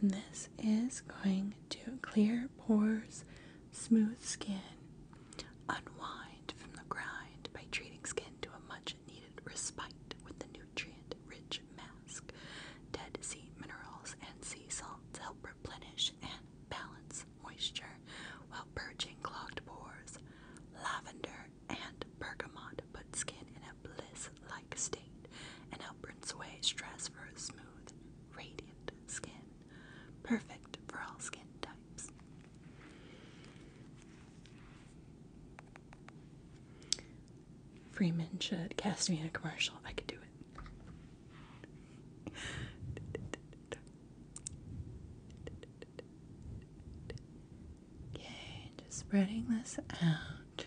And this is going to clear pores, smooth skin, unwind from the grind by treating skin to a much needed respite with the nutrient rich mask. Dead sea minerals and sea salts help replenish and balance moisture while purging clogged pores. Lavender and bergamot put skin in a bliss like state and help rinse away stress for a smooth, radiant skin. Perfect for all skin types. Freeman should cast me in a commercial. I could do it. Okay, just spreading this out,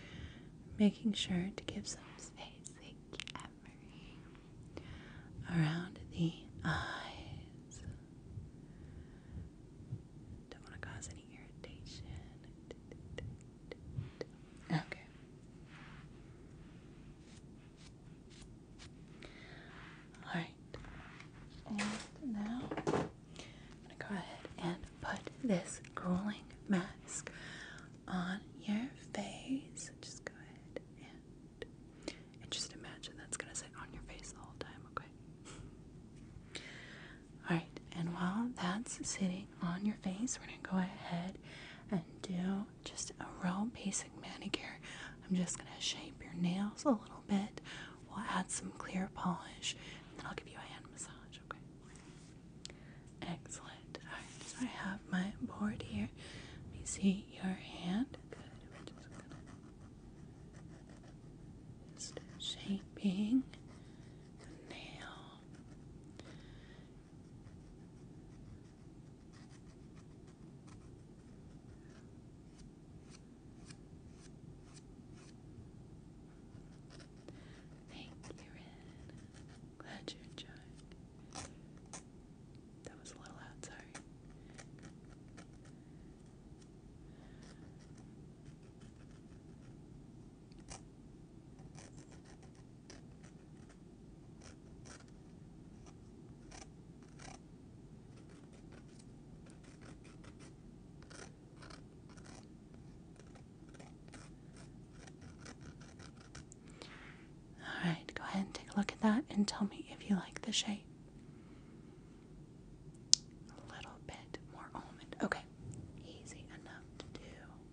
making sure to give some space. Around the eyes. Don't want to cause any irritation. Okay. Alright, and now go ahead and put this grueling mask on your face. Just go ahead and, just imagine that's going to sit on your face the time, okay? Alright, and while that's sitting on your face, we're going to go ahead and do just a real basic manicure. I'm just going to shape your nails a little bit. We'll add some clear polish, and I'll give you a hand massage, okay? Excellent. Alright, so I have my board here. Let me see your hand. Good. we just shaping the nail. Thank you, Ren. Glad you enjoyed. That was a little loud, sorry. All right, go ahead and take a look at that and tell me if you like the shape. A little bit more almond. Okay, easy enough to do.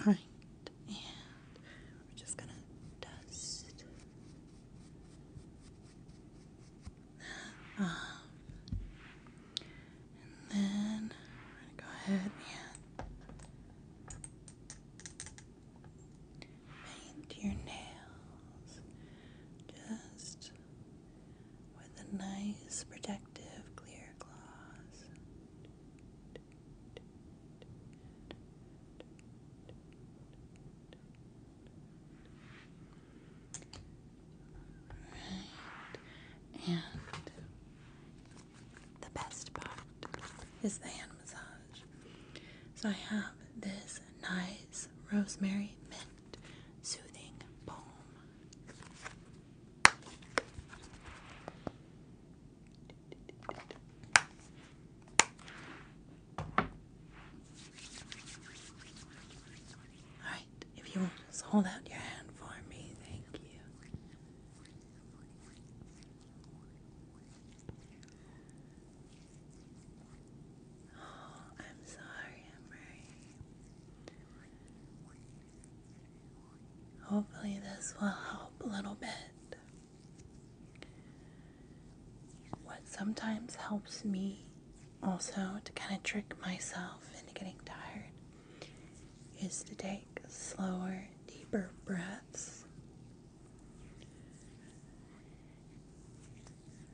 Alright, and we're just gonna dust that um, off. And then go ahead and paint your nails just with a nice protective clear gloss. Right. And the best part is the hand massage. So I have this nice rosemary mint soothing balm Alright, if you want just hold out your hand for me, thank you. Oh, I'm sorry, Emery. Hopefully, this will help a little bit. What sometimes helps me also to kind of trick myself into getting tired is to take slower, deeper breaths.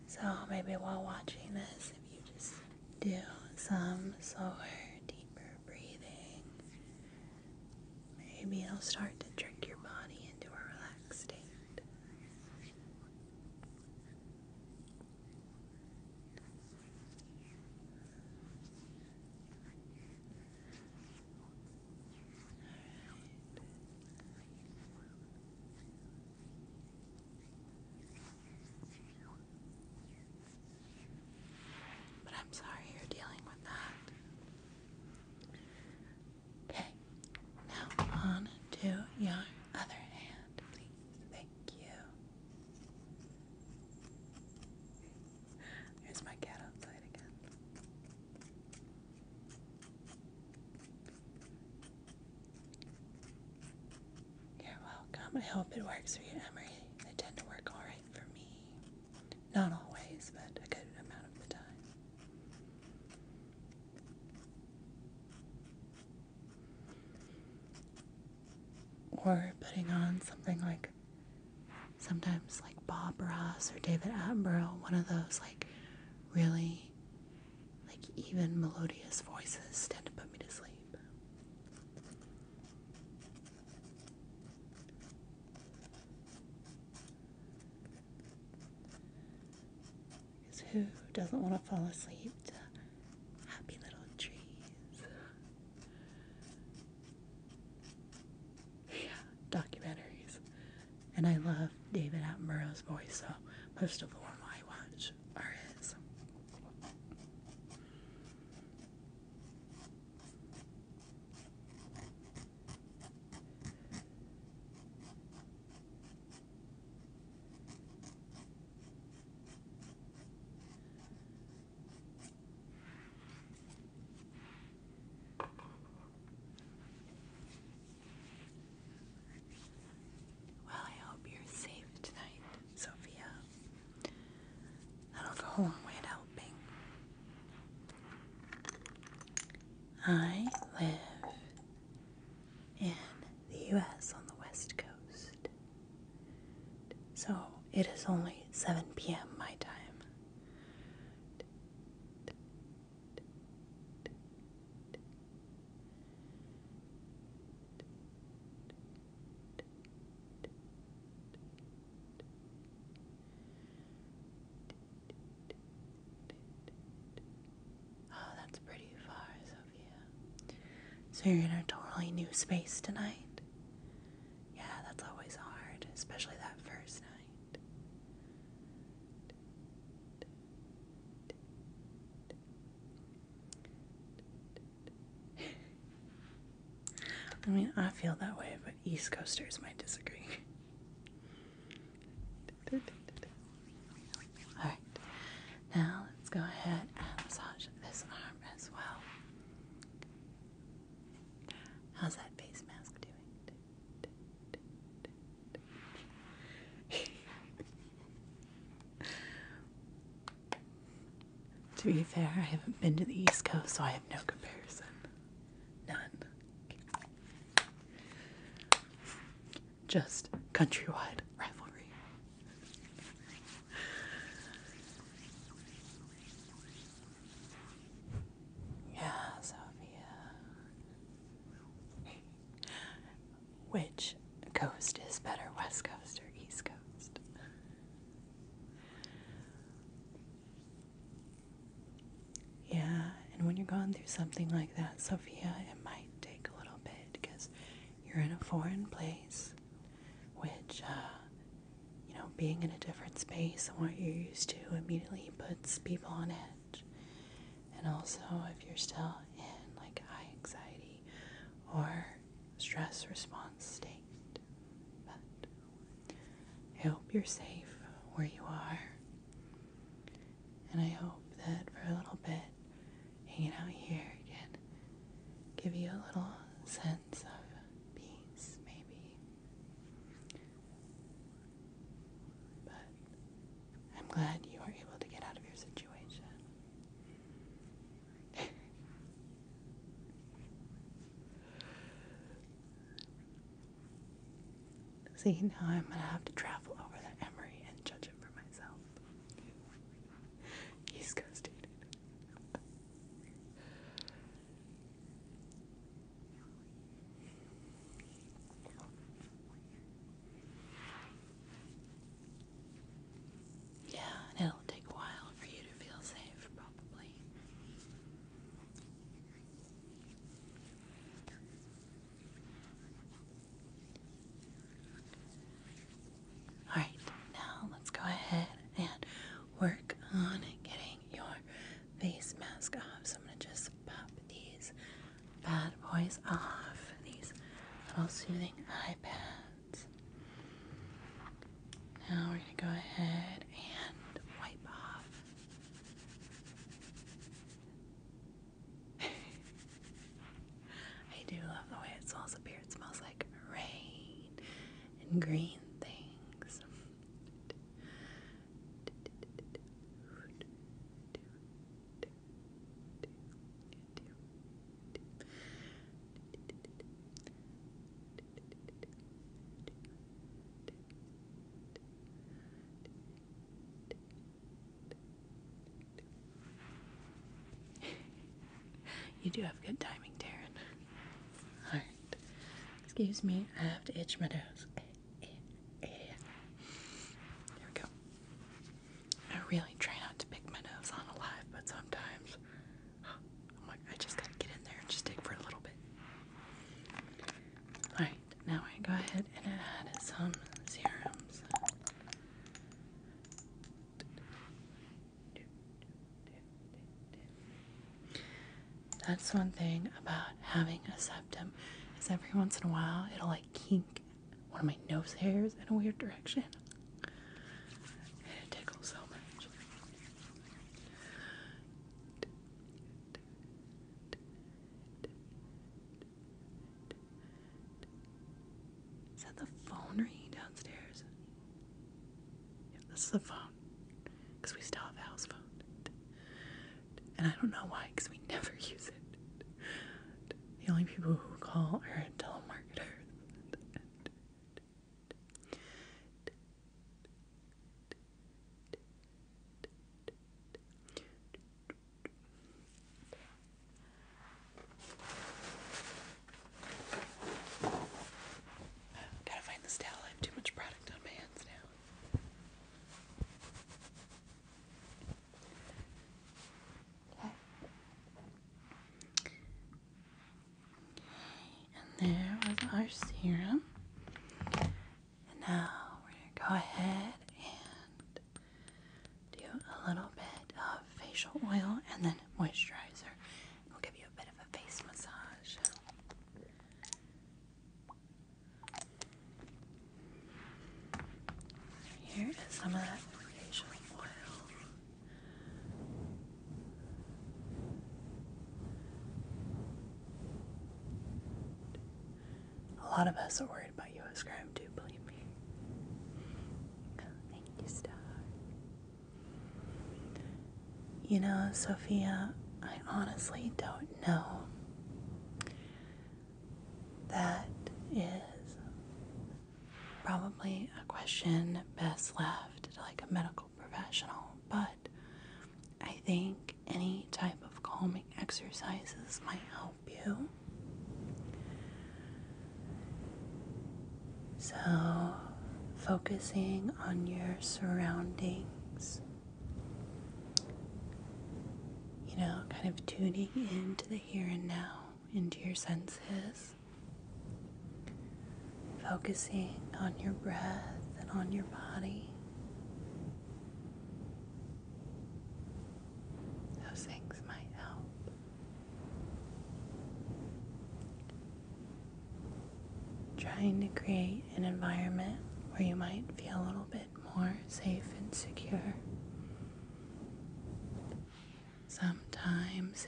So maybe while watching this, if you just do some slower, deeper breathing. Maybe it'll start to trick your body into a relaxed state. But I'm sorry you're dealing with that. Okay, now on to your other hand, please. Thank you. There's my cat outside again. You're welcome. I hope it works for you, Emery. They tend to work all right for me. Not always, but a good amount of the time. Or putting on something like sometimes like Bob Ross or David Attenborough, one of those like really like even melodious voices tend to put me to sleep. Because who doesn't want to fall asleep to happy little trees? Yeah, documentaries. And I love David Attenborough's voice, so most of the ones I watch are his. Well, I hope you're safe tonight, Sophia that will go a long way in helping. I live in the US on the west coast, so it is only 7 p.m. my time. Oh, that's pretty far, Sophia. So you're in a totally new space tonight? Yeah, that's always hard, especially that first night. I mean, I feel that way, but East Coasters might disagree. Alright, now let's go ahead and massage this arm as well. How's that face mask doing? To be fair, I haven't been to the East Coast, so I have no comparison. None. Just countrywide rivalry. Yeah, Sophia. Which coast is better, West Coast or East Coast? Yeah, and when you're going through something like that, Sophia, it might take a little bit because you're in a foreign place, which, uh, you know, being in a different space than what you're used to immediately puts people on edge. And also, if you're still in like high anxiety or stress response state. But I hope you're safe where you are. And I hope that for a little bit, hanging out here can give you a little sense of peace, maybe. But I'm glad you are able to get out of your situation. See, now I'm gonna have to travel over to Emory and judge it for myself. He's ghosted. Yeah, and it'll take a while for you to feel safe, probably. Alright, now let's go ahead and work on getting your face mask off. So I'm going to just pop these bad boys off, these little soothing eye pads. Now we're going to go ahead and wipe off. I do love the way it smells up here. It smells like rain and green things. you do have good timing, Taryn. Alright. Excuse me, I have to itch my nose. There we go. I really try not to pick my nose on a live, but sometimes i just gotta get in there and just dig for a little bit. Alright, now I go ahead and add some serums. That's one thing about having a septum is every once in a while it'll like kink one of my nose hairs in a weird direction. It tickles so much. Is that the phone ringing downstairs? this is the phone. Because we still have a house phone. And I don't know why, because we never use it. The only people who call are telemarketers. Gotta find this towel. I have too much product on my hands now. And there was our serum. And now we're going to go ahead and do a little bit of facial oil and then moisturizer. We'll give you a bit of a face massage. Here is some of that facial oil. A lot of us are worried about U.S. crime too, believe me. You know, Sophia, I honestly don't know. That is probably a question best left to like a medical professional, but I think any type of calming exercises might help you. So, focusing on your surroundings, you know, kind of tuning into the here and now, into your senses. Focusing on your breath and on your body. Those things might help. Trying to create an environment where you might feel a little bit more safe and secure. Sometimes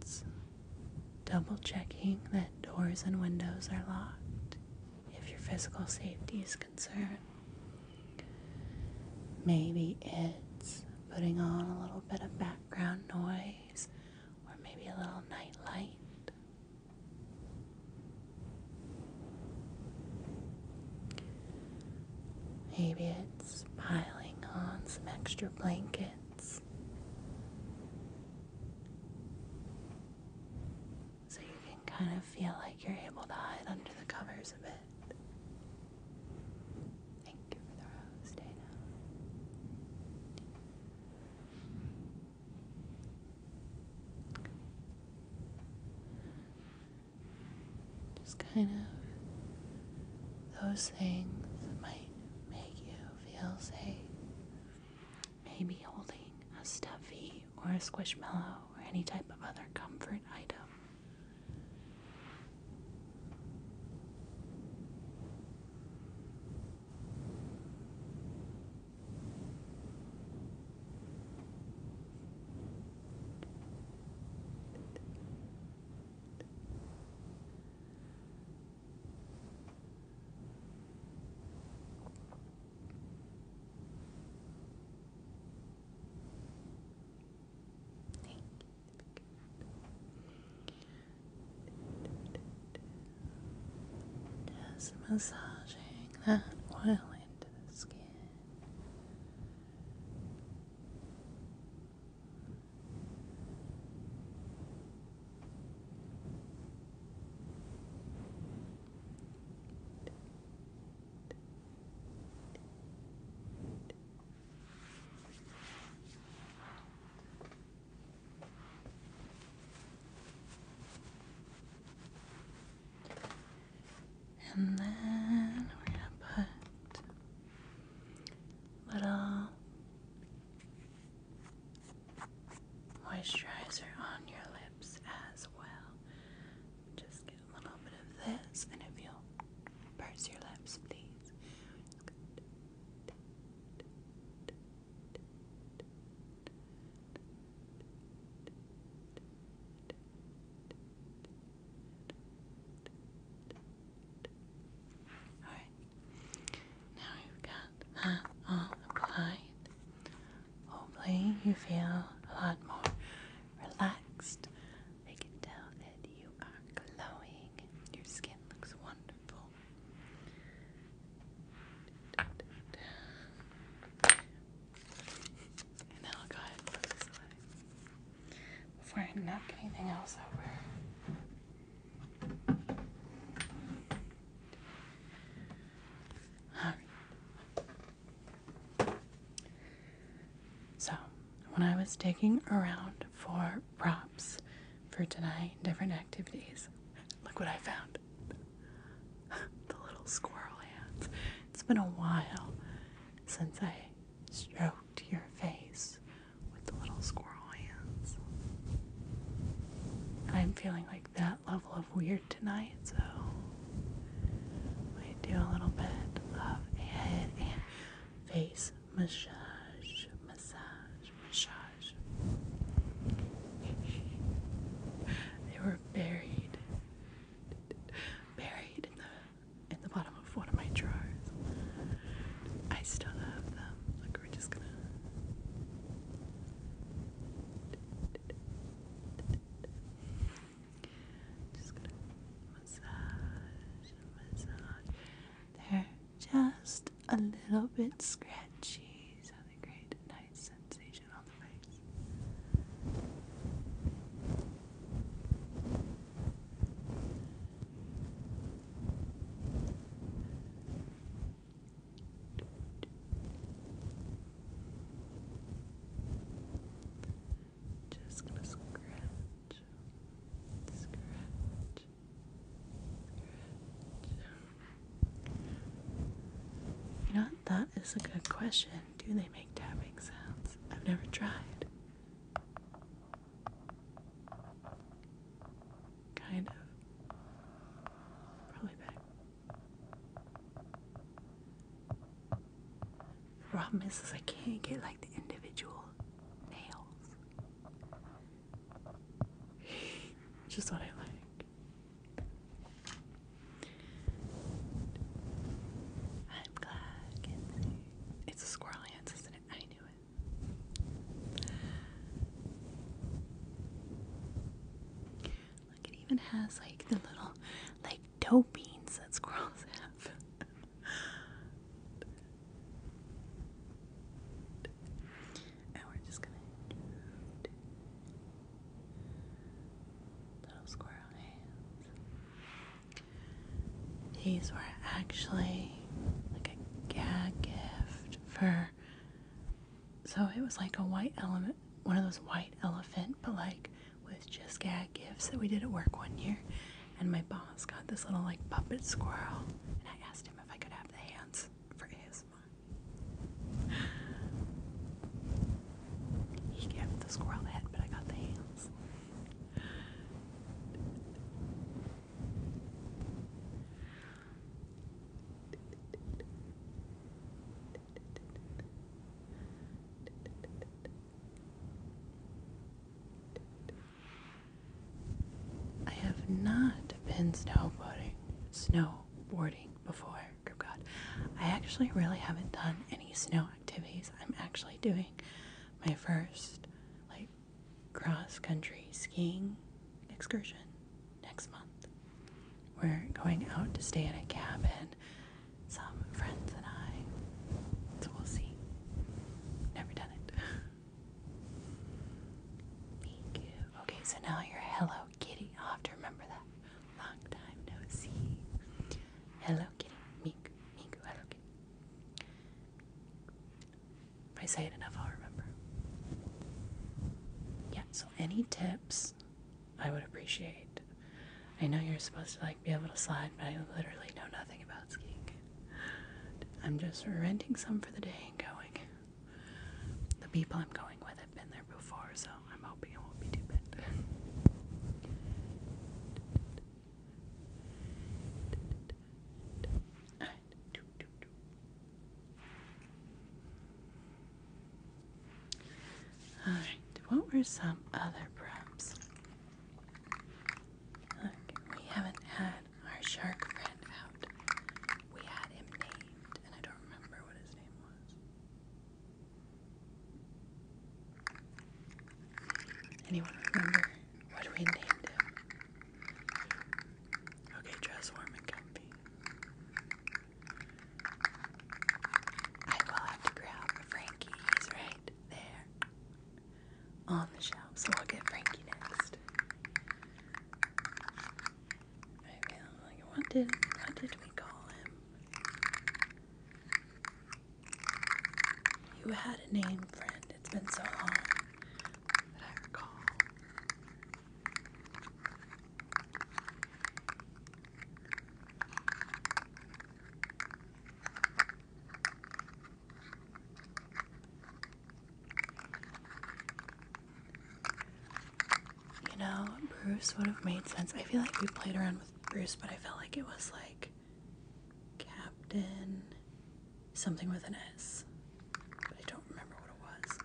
it's double checking that doors and windows are locked if your physical safety is concerned. Maybe it's putting on a little bit of background noise or maybe a little night light. Maybe it's piling on some extra blankets so you can kind of feel like you're able to hide under the covers a bit. Thank you for the rose, Dana. Just kind of those things that might make you Feels safe. Maybe holding a stuffy or a squishmallow or any type of other comfort item. Just massaging that oil into the skin. And then we're going to put little moisturizer on your lips as well. Just get a little bit of this, and if you'll purse your lips, please. Alright. Now you've got that all applied. Hopefully you feel a lot more relaxed. I can tell that you are glowing. Your skin looks wonderful. now I'll go ahead and put this away before I knock anything else over. So, when I was digging around for props for tonight, different activities, look what I found the little squirrel hands. It's been a while since I stroked your face with the little squirrel hands. I'm feeling like that level of weird tonight, so I do a little bit of a head and face massage, massage, massage. they were buried, buried in the in the bottom of one of my drawers. I still have them back. We're just gonna. Just gonna massage massage. They're just a little bit scratchy, so they create a nice sensation on the face. You know, that is a good question. Do they make tapping sounds? I've never tried. Kind of. Probably better. Problem is, is I can't get like the individual nails. Just what I like. I'm glad. It's a squirrel ants, isn't it? I knew it. Look, it even has like the little like dough beans that squirrels have. and we're just gonna little squirrel hands. These were actually like a gag gift for so it was like a white element, one of those white elephant, but like with just gag gifts that we did at work one year. And my boss got this little like puppet squirrel, and I asked him if I could have the hands for his. He gave the squirrel the head, but I got the hands. I have not been snowboarding, snowboarding before. Good God, I actually really haven't done any snow activities. I'm actually doing my first like cross country skiing excursion next month. We're going out to stay in a cabin, some friends and I. So we'll see. Never done it. Thank Okay, so now you're Hello Kitty. I'll have to remember that. Long time no see. Hello Kitty. Miku. Miku. Hello Kitty. If I say it enough, I'll remember. Yeah, so any tips I would appreciate. I know you're supposed to like be able to slide, but I literally know nothing about skiing. I'm just renting some for the day and going. The people I'm going with have been there before, so I'm hoping it won't be too bad. All right, what were some other prompts? Look, we haven't had our shark friend out. We had him named, and I don't remember what his name was. Anyone remember what we named him? Okay, dress warm and comfy. I will have to grab Frankie. He's right there on the shelf, so i will get Frankie next. I feel like what did what did we call him? You had a name, friend. It's been so long that I recall. You know, Bruce would have made sense. I feel like we played around with Bruce, but I felt like it was like Captain something with an S, but I don't remember what it was.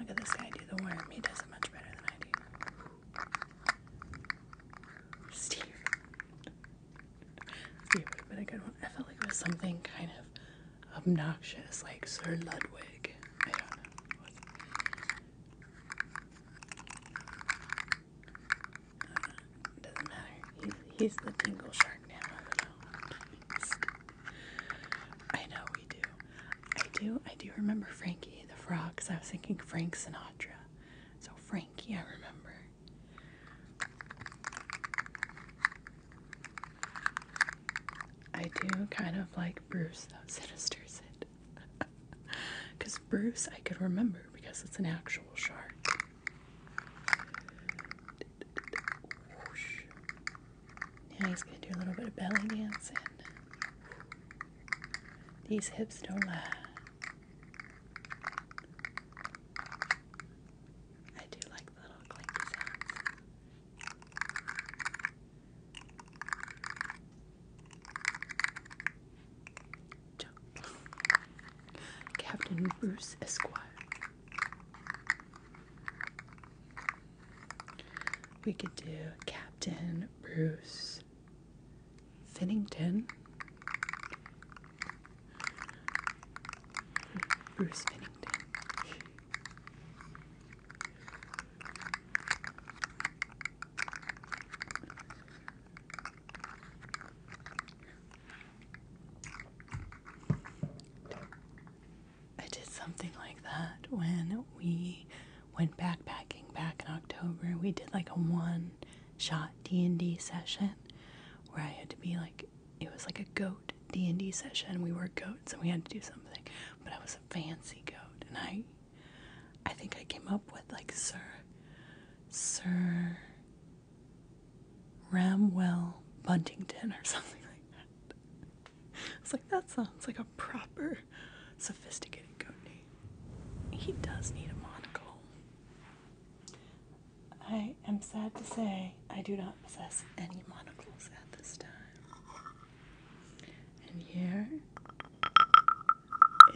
Look at this guy do the worm. He does it much better than I do. Steve. Steve would have been a good one. I felt like it was something kind of obnoxious, like Sir Ludwig. I don't know doesn't matter. He's, the tingle shark now. I do know. I we do. I do. I do remember Frankie the frogs. I was thinking Frank Sinatra. So Frankie, I remember. I do kind of like Bruce, though. Sinister Sid. Because Bruce, I could remember because it's an actual shark. Now he's going to do a little bit of belly dancing. These hips don't lie. I do like little clinky sounds. Captain Bruce Esquire. We could do Captain Bruce Finnington. Bruce Finnington. I did something like that when we went backpacking back in October. We did like a one shot D&D session where I had to be like it was like a goat D&D session. We were goats and we had to do something, but I was a fancy goat and I I think I came up with like Sir Sir Ramwell Buntington or something like that. I was like, that sounds like a proper sophisticated code name. He does need a monocle. I am sad to say I do not possess any monocles at this time. And here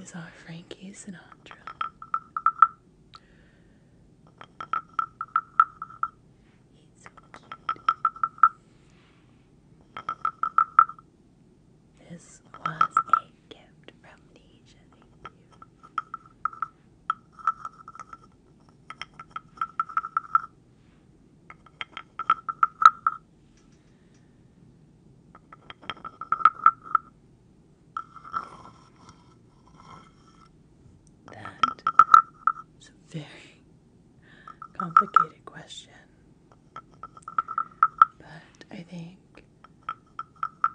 is our Frankie Sinatra. He's so This was a gift from Nisha, that is a very complicated question, but I think it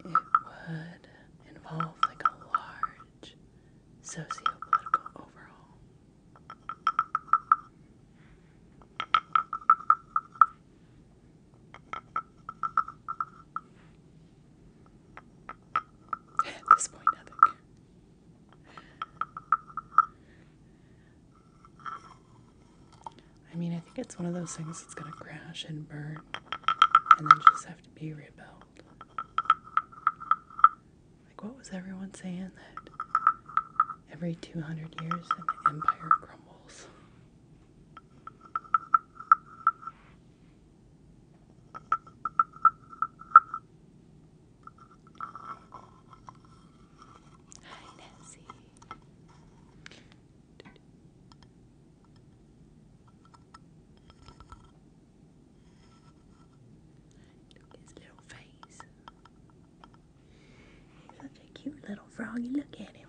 would involve like a large sociopolitical overhaul this point, I mean, I think it's one of those things that's gonna crash and burn and then just have to be rebuilt. Like, what was everyone saying that every 200 years an empire crumbles? Hi, Nancy. Look at his little face. He's such a cute little froggy. Look at him.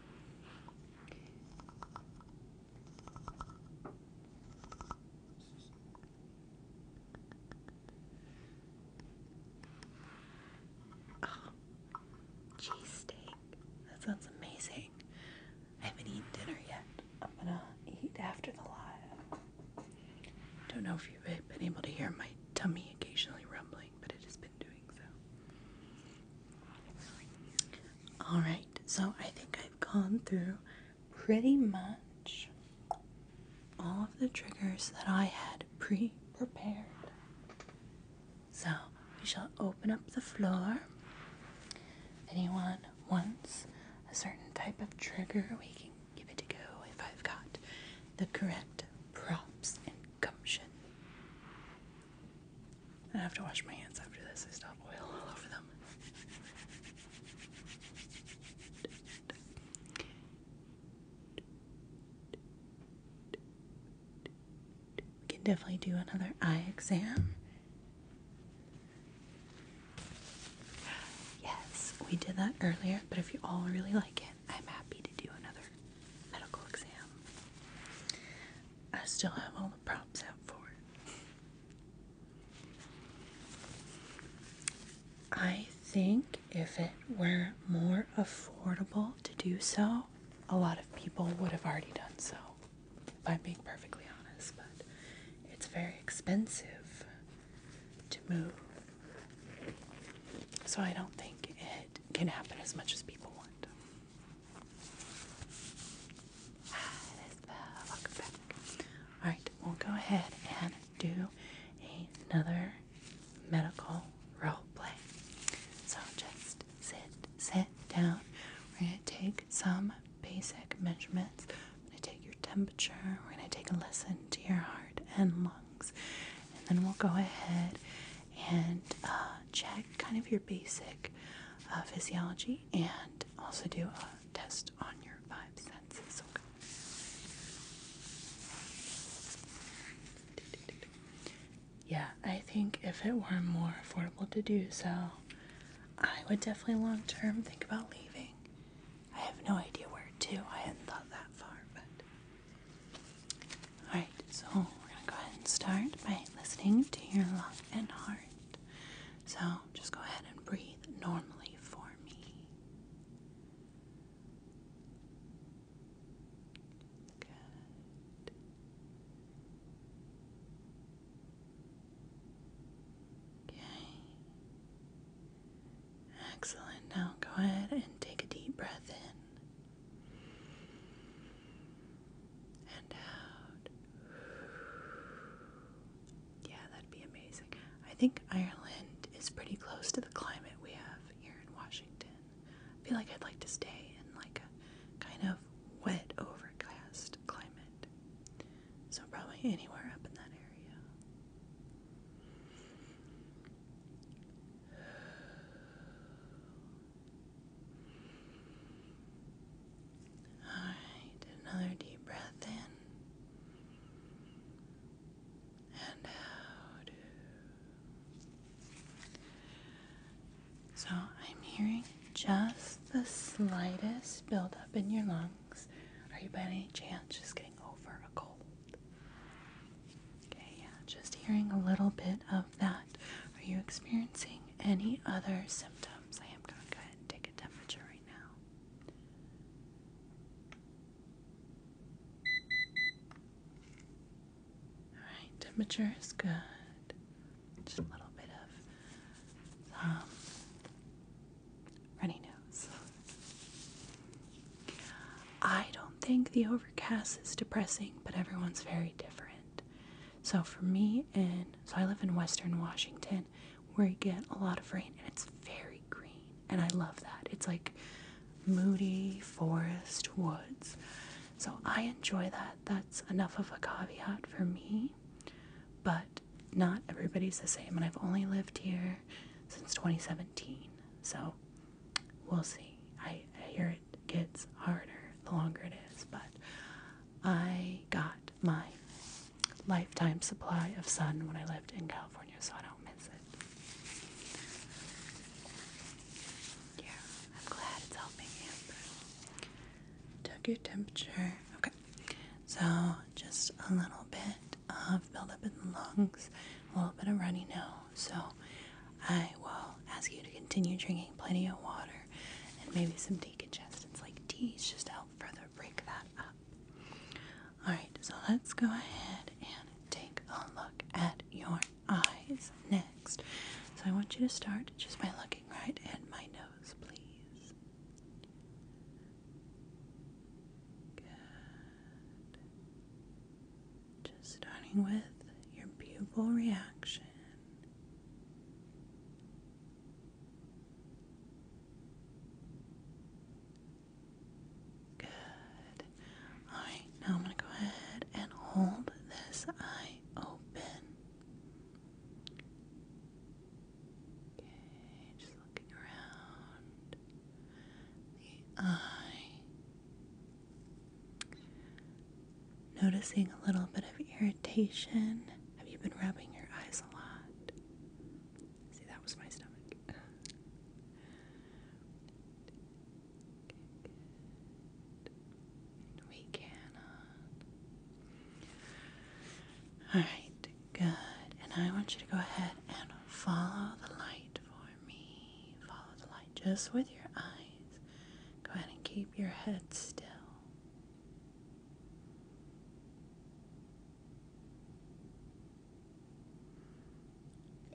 Oh, That sounds amazing. I haven't eaten dinner yet. I'm gonna eat after the live. Don't know if you've been able to hear my tummy occasionally rumbling, but it has been Alright, so I think I've gone through pretty much all of the triggers that I had pre prepared. So we shall open up the floor. anyone wants a certain type of trigger, we can give it a go if I've got the correct props and gumption. I have to wash my hands after this. I still have oil all over them. We can definitely do another eye exam. Yes, we did that earlier, but if you all really like it, I'm happy to do another medical exam. I still have all the props out for it. I think if it were more affordable to do so, a lot of people would have already done so, if I'm being perfectly honest. But it's very expensive to move. So I don't think it can happen as much as people want. Alright, we'll go ahead and do another medical role play. So just sit, sit down. We're going to take some basic measurements. We're going to take your temperature. We're going to take a listen to your heart and lungs. And then we'll go ahead and uh, check kind of your basic uh, physiology and also do a test on your five senses. Yeah, I think if it were more affordable to do so, I would definitely long term think about leaving. I have no idea where to. I hadn't thought that far, but Alright, so we're gonna go ahead and start by listening to your lung and heart. So just go ahead and breathe normally for me. Good. Okay. Excellent. Now go ahead and take a deep breath in and out. Yeah, that'd be amazing. I think Ireland is pretty close to the climate we have here in Washington. I feel like I'd like to stay in like a kind of wet, overcast climate. So probably anywhere up in that area. All right, another deep breath in and out. So I'm hearing just the slightest buildup in your lungs. Are you by any chance just getting over a cold? Okay, yeah, just hearing a little bit of that. Are you experiencing any other symptoms? I am going to go ahead and take a temperature right now. Alright, temperature is good. Just a little bit of um, runny nose. I don't think the overcast is depressing, but everyone's very different. So for me, and so I live in Western Washington, where you get a lot of rain, and it's very green, and I love that. It's like moody forest woods. So I enjoy that. That's enough of a caveat for me, but not everybody's the same. And I've only lived here since 2017, so we'll see. I, I hear it gets harder the longer it is, but I got my lifetime supply of sun when I lived in California, so I don't miss it. Yeah, I'm glad it's helping Took your temperature. Okay, so just a little bit of buildup in the lungs, a little bit of runny nose. So I will ask you to continue drinking plenty of water and maybe some decongestants like teas just to help further break that up. Alright, so let's go ahead and take a look at your eyes next. So I want you to start just by looking right at my nose, please. Good. Just starting with your pupil reaction. Good. All right, now I'm going to go ahead and hold this eye open. Okay, just looking around the eye. Noticing a little bit of irritation. Have you been rubbing your eyes a lot? See, that was my stomach. We cannot. Alright, good. And I want you to go ahead and follow the light for me. Follow the light just with your eyes. Go ahead and keep your head still.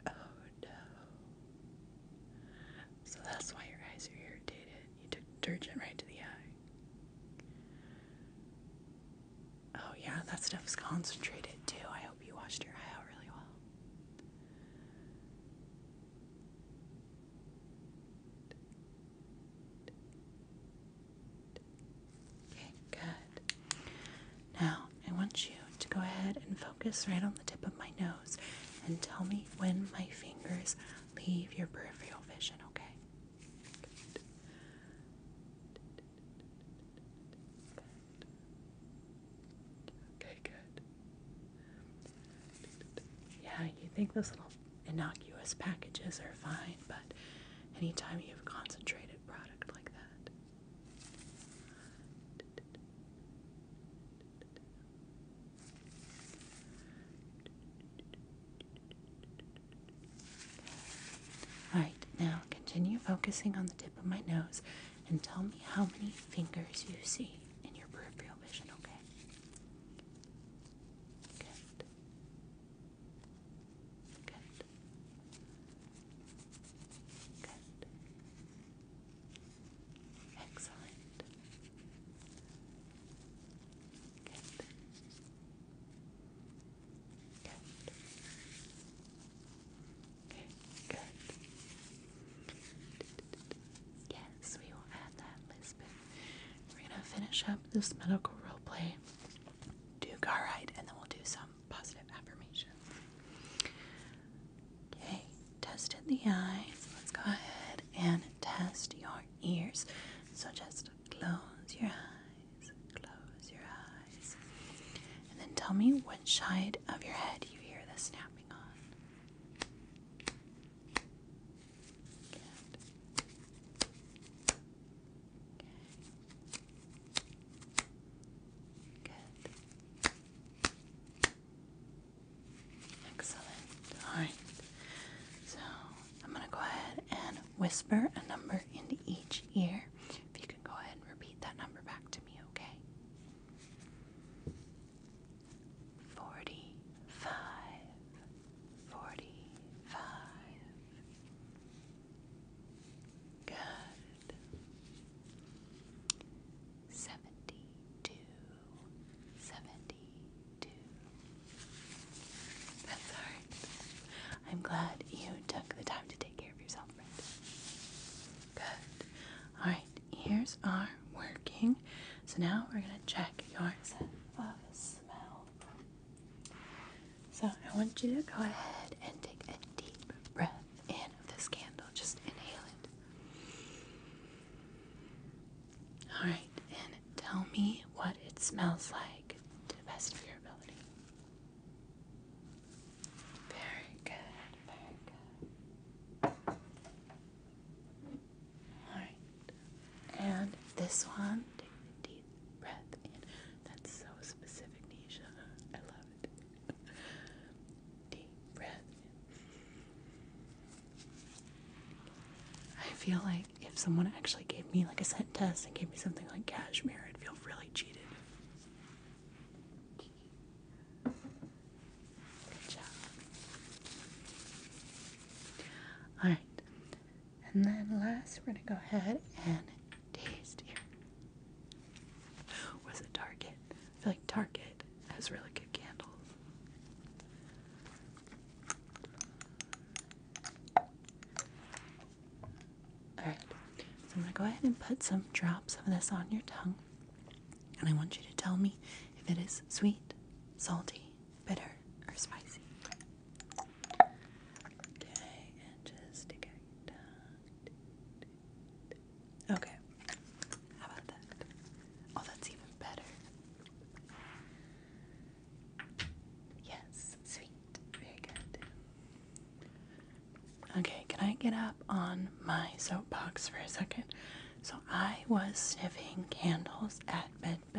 Oh no. So that's why your eyes are irritated. You took detergent right to the eye. Oh yeah, that stuff's concentrated too. I hope you washed your eye out really well. Okay, good. Now, I want you to go ahead and focus right on the tip of my nose and tell me when my fingers leave your peripheral vision, okay? Okay, good. Yeah, you think those little innocuous packages are fine, but anytime you have concentrated product like that. Alright, now continue focusing on the tip of my nose and tell me how many fingers you see in your peripheral vision, okay? Good. Good. Good. Excellent. Good. Good. Okay, good. Yes, we will add that, Lisbon. We're gonna finish up this medical role play, do car ride, and then we'll do some positive affirmations. Okay, tested the eyes. Let's go ahead and test your ears. So just close your eyes, close your eyes, and then tell me which side of your head you hear the snapping on. Excellent. All right. So I'm going to go ahead and whisper a number into each ear. If you can go ahead and repeat that number back to me, okay? forty five, forty five. Good. Seventy two, seventy two. That's alright. I'm glad you took the time to take care of yourself, friend. Good. Alright, ears are working. So now we're going to check yours of smell. So I want you to go ahead and take a deep breath in of this candle. Just inhale it. Alright, and tell me what it smells like to the best of your ability. Very good, very good. Alright. And this one, take a deep breath in. That's so specific, Nisha. I love it. Deep breath in. I feel like if someone actually gave me like a scent test and gave me something like cashmere, I'd feel really cheated. Good job. Alright, and then last, we're going to go ahead and taste here. Was it Target? I feel like Target has really good candles. Alright, so I'm going to go ahead and put some drops of this on your tongue. And I want you to tell me if it is sweet, salty, bitter or spicy. Okay, and just stick it down. Okay, how about that? Oh, that's even better. Yes, sweet. Very good. Okay, can I get up on my soapbox for a second? So I was sniffing candles at midnight said uh,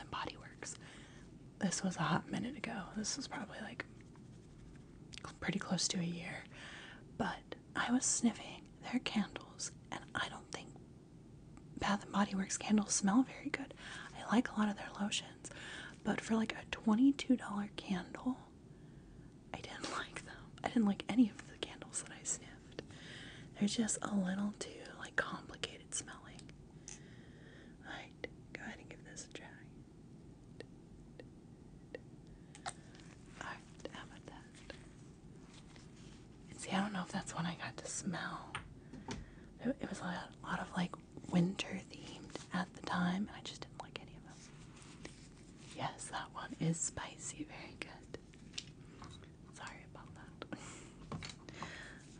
and Body This was a hot minute ago. This was probably like pretty close to a year. But I was sniffing their candles, and I don't think Bath and Body Works candles smell very good. I like a lot of their lotions, but for like a $22 candle, I didn't like them. I didn't like any of the candles that I sniffed. They're just a little too like complicated smelling. Alright, go ahead and give this a try. see, I don't know if that's one I got to smell. it was a lot of like winter themed at the time, and I just didn't like any of them. Yes, that one is spicy. Very good. Sorry about that.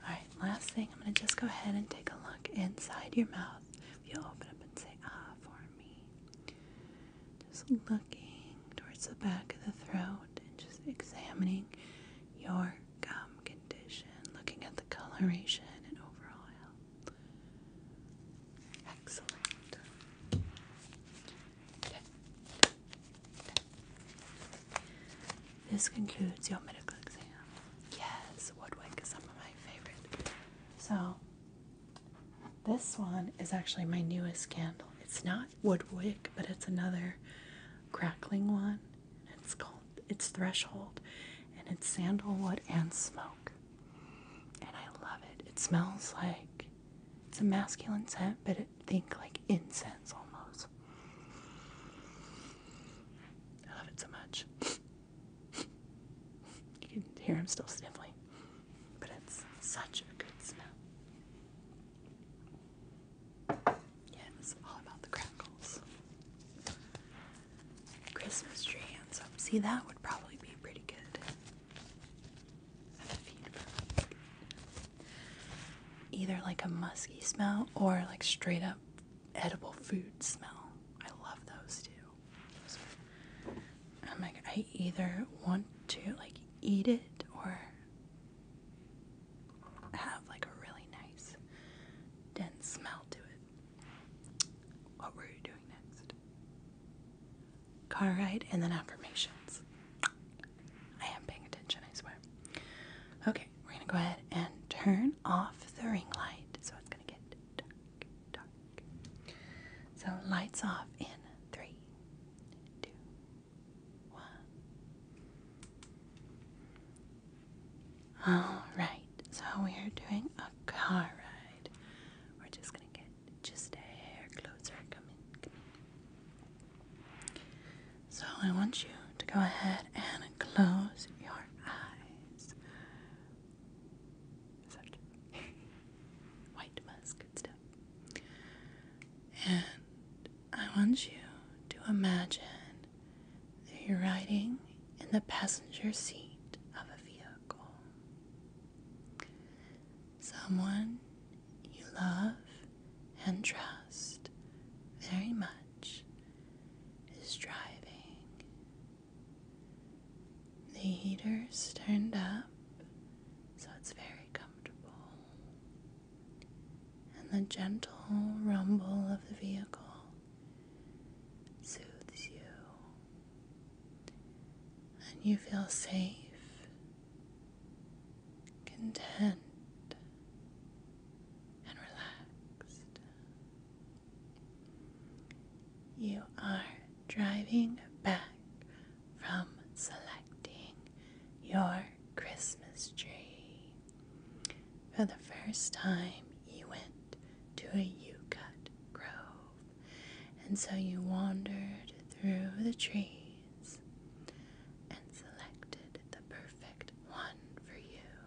Alright, last thing, I'm going to just go ahead and take a look inside your mouth. you'll open up and say, ah, for me. Just looking towards the back of the throat and just examining your gum condition, looking at the coloration and overall health. Excellent. This concludes your medical exam. Yes, woodwick is some of my favorite. So, this one is actually my newest candle. It's not woodwick, but it's another crackling one. It's called it's Threshold, and it's sandalwood and smoke. And I love it. It smells like it's a masculine scent, but it think like incense almost. I love it so much. you can hear him still sniffing, but it's such a good smell. Yeah, it's all about the crackles. Christmas tree and up. See, that would probably be pretty good either like a musky smell or like straight up edible food smell. I love those too. I'm like, I either want to like eat it or have like a really nice, dense smell to it. What were you doing next? Car ride and then affirmations. I am paying attention, I swear. Okay, we're gonna go ahead and turn off the ring light. So it's gonna get dark, So lights off in three, two, one. Alright, so we are doing a car ride. We're just gonna get just a hair closer. Come in, so I want you to go ahead and close your eyes. white musk and And I want you to imagine that you're riding in the passenger seat of a vehicle. Someone you love and trust very much is driving. The heater's turned up so it's very comfortable, and the gentle rumble of the vehicle soothes you. And you feel safe content and relaxed. You are driving back from selecting your Christmas tree. For the first time, you went to a cut grove, and so you wandered through the trees and selected the perfect one for you.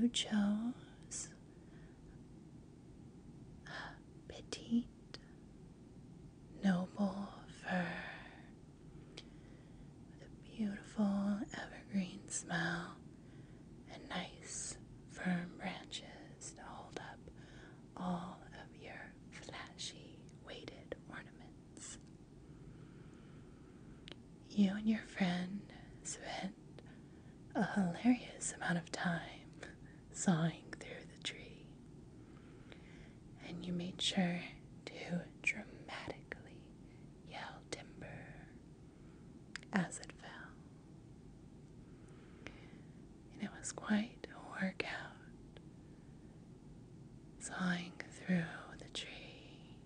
You chose a petite, noble fir with a beautiful evergreen smell and nice, firm branches to hold up all of your flashy weighted ornaments. You and your friend spent a hilarious amount of time sawing through the tree, and you made sure to dramatically yell timber as it fell. And it was quite a workout sawing through the tree.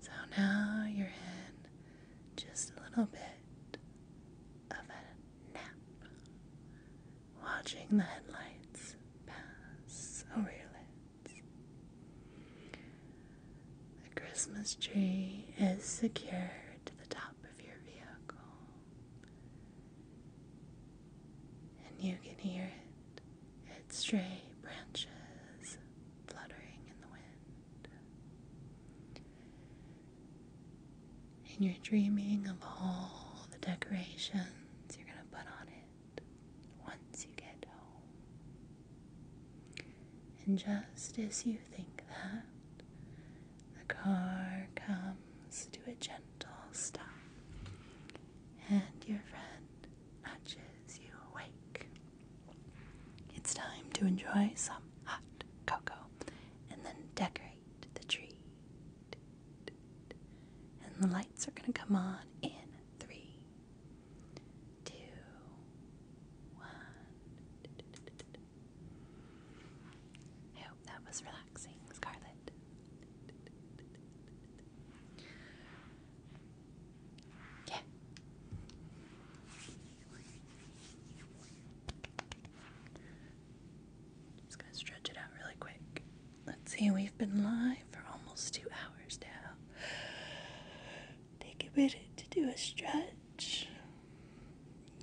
So now you're in just a little bit of a nap, watching the headlights pass over your lids. The Christmas tree is secured to the top of your vehicle. And you can hear it, its stray branches fluttering in the wind. And you're dreaming of all the decorations you're going to put on it once you get home. And just as you think that, the car comes palms, do a gentle stop, and your friend nudges you awake. It's time to enjoy some hot cocoa and then decorate the tree. And the lights are going to come on in three, two, one. I hope that was relaxing, Scarlett. Yeah. Just gonna stretch it out really quick. Let's see, we've been live for almost two hours now. Take a minute to do a stretch.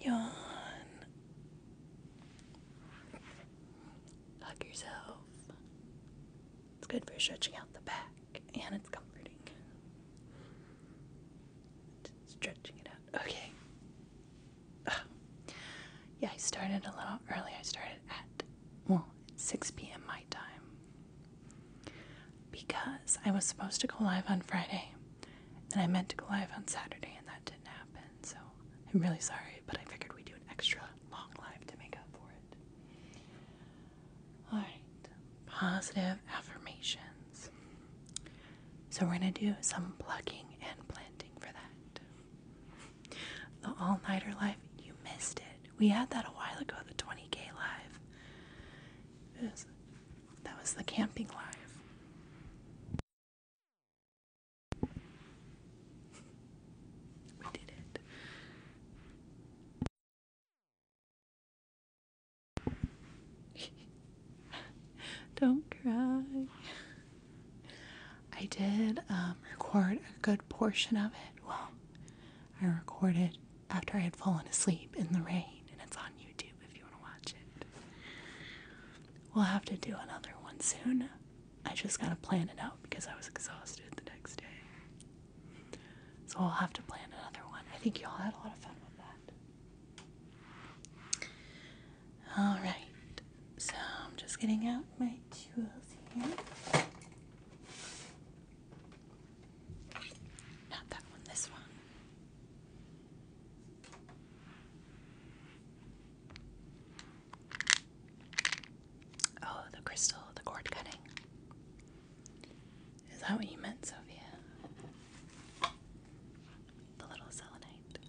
Yawn hug yourself. It's good for stretching out the back and it's comforting. Stretching it out. Okay. yeah, I started a little early. I started at, well, 6 p.m. my time. Because I was supposed to go live on Friday and I meant to go live on Saturday and that happen, so I'm really sorry, but I figured we'd do an extra long live to make up for it. Alright, positive affirmations. So we're going to do some plugging and planting for that. The all nighter live you missed it. We had that a while ago, the 20k live. that was the camping live. We did it. Don't cry. I did um, record a good portion of it. Well, I recorded after I had fallen asleep in the rain, and it's on YouTube if you want to watch it. We'll have to do another one soon. I just gotta plan it out because I was exhausted the next day. So I'll have to plan another one. I think y'all had a lot of fun with that. Alright, so I'm just getting out my tools here. Not that one, this one. Oh, the crystal, the cord cutting. Is that what you meant, Sophia? The little selenite.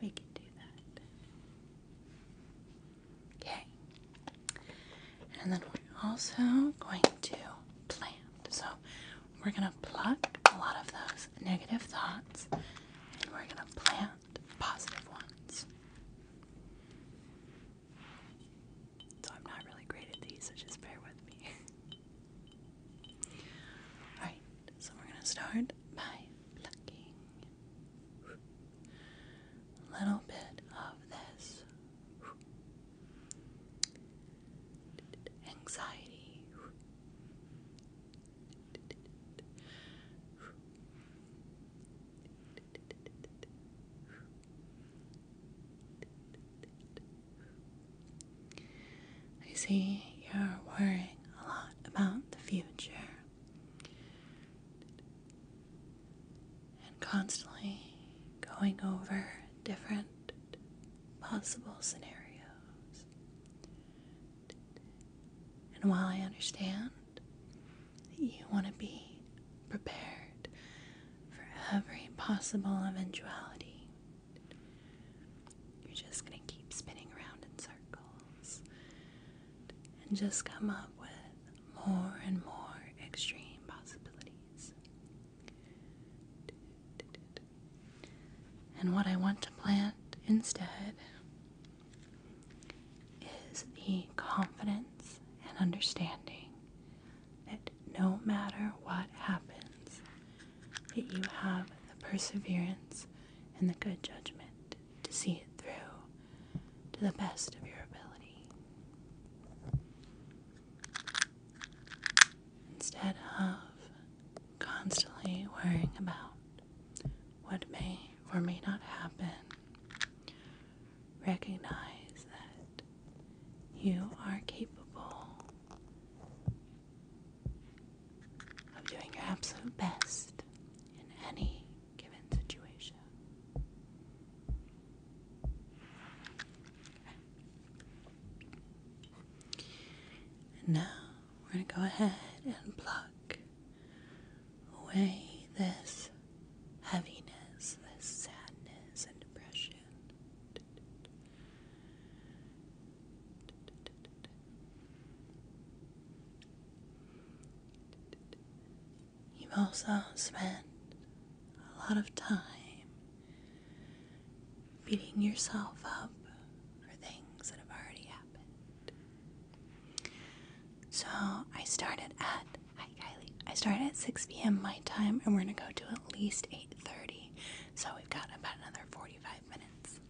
We can do that. Okay. And then we're also going to plant. So we're going to pluck a lot of those negative thoughts and we're going to plant positive ones. So I'm not really great at these, so just bear with me. Alright, so we're going to start by plucking a little bit of this anxiety, I see you're worrying a lot about the future and constantly going over different possible scenarios. And while I understand that you want to be prepared for every possible eventuality, you're just going to keep spinning around in circles and just come up with more and more extreme possibilities. And what I want to plant instead is the confidence and understanding that no matter what happens, that you have the perseverance and the good judgment to see it through to the best of your ability instead of constantly worrying about what may or may not happen. Recognize that you are capable of doing your absolute best in any given situation. And now we're going to go ahead and pluck away this heaviness, this sadness, and depression. You've also spent a lot of time beating yourself up for things that have already happened. So I started at hi Kylie. I started at 6 p.m. my time, and we're gonna go to at least 8:30. So we've got about another 45 minutes.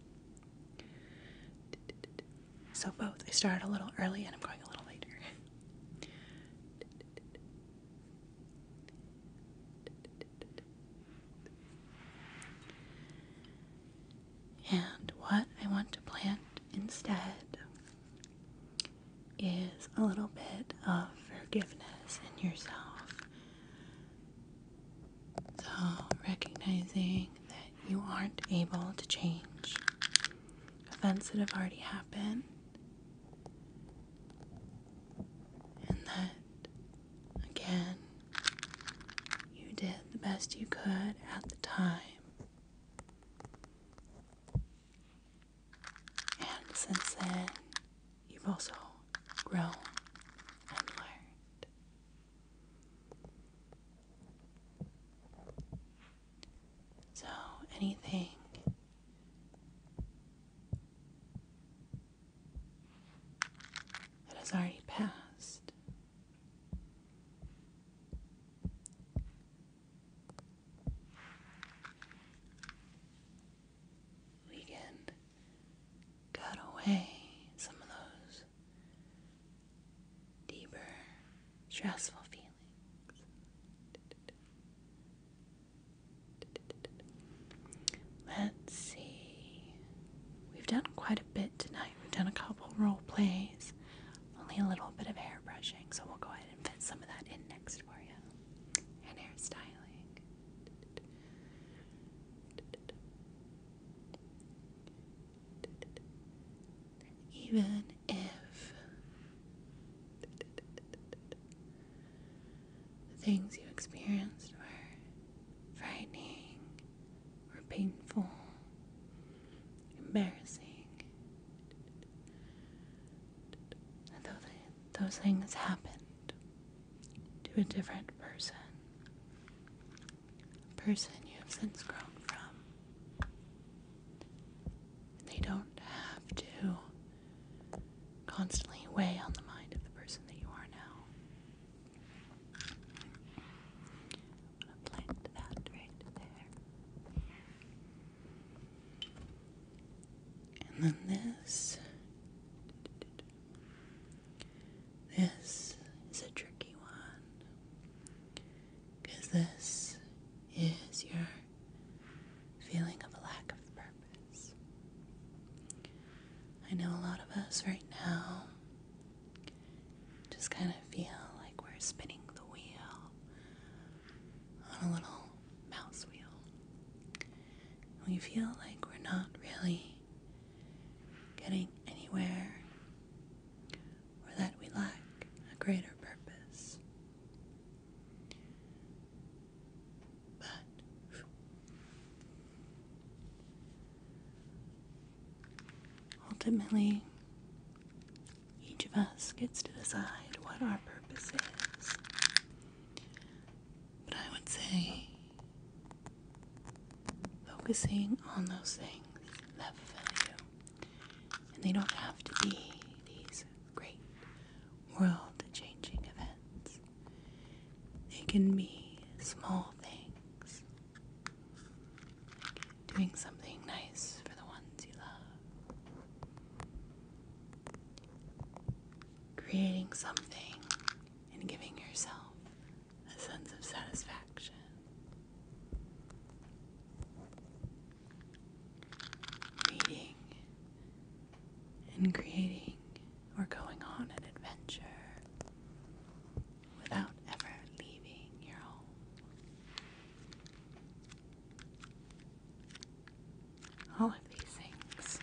So both. I started a little early, and I'm going a little later. And what I want to plant instead is a little bit of forgiveness in yourself. So, recognizing that you aren't able to change events that have already happened and that Again, you did the best you could at the time. And since then, you've also grown and learned. So, anything that has already passed. We can cut away some of those deeper, stressful feelings. Let's see. We've done quite a bit tonight. We've done a couple role plays, only a little bit of hair brushing, so we'll go ahead and fit some of that in next for you. And hairstyling. Even if the things you experienced were frightening were painful, embarrassing. though those things happened to a different person, a person you have since grown from, they don't have to constantly weigh on the mind of the person that you are now i that right there. And then this. This is a tricky one. Because this is your feeling of a lack of purpose. I know a lot of us right now just kind of feel like we're spinning the wheel on a little mouse wheel. We feel like we're not really getting anywhere or that we lack a greater purpose but ultimately, each of us gets to decide what our purpose is. But I would say focusing on those things that fulfill you, and they don't have to be these great world changing events. They can be small things. doing something nice for the ones you love. Creating something and giving yourself a sense of satisfaction. Reading and creating thinking we're going on an adventure without ever leaving your home. All of these things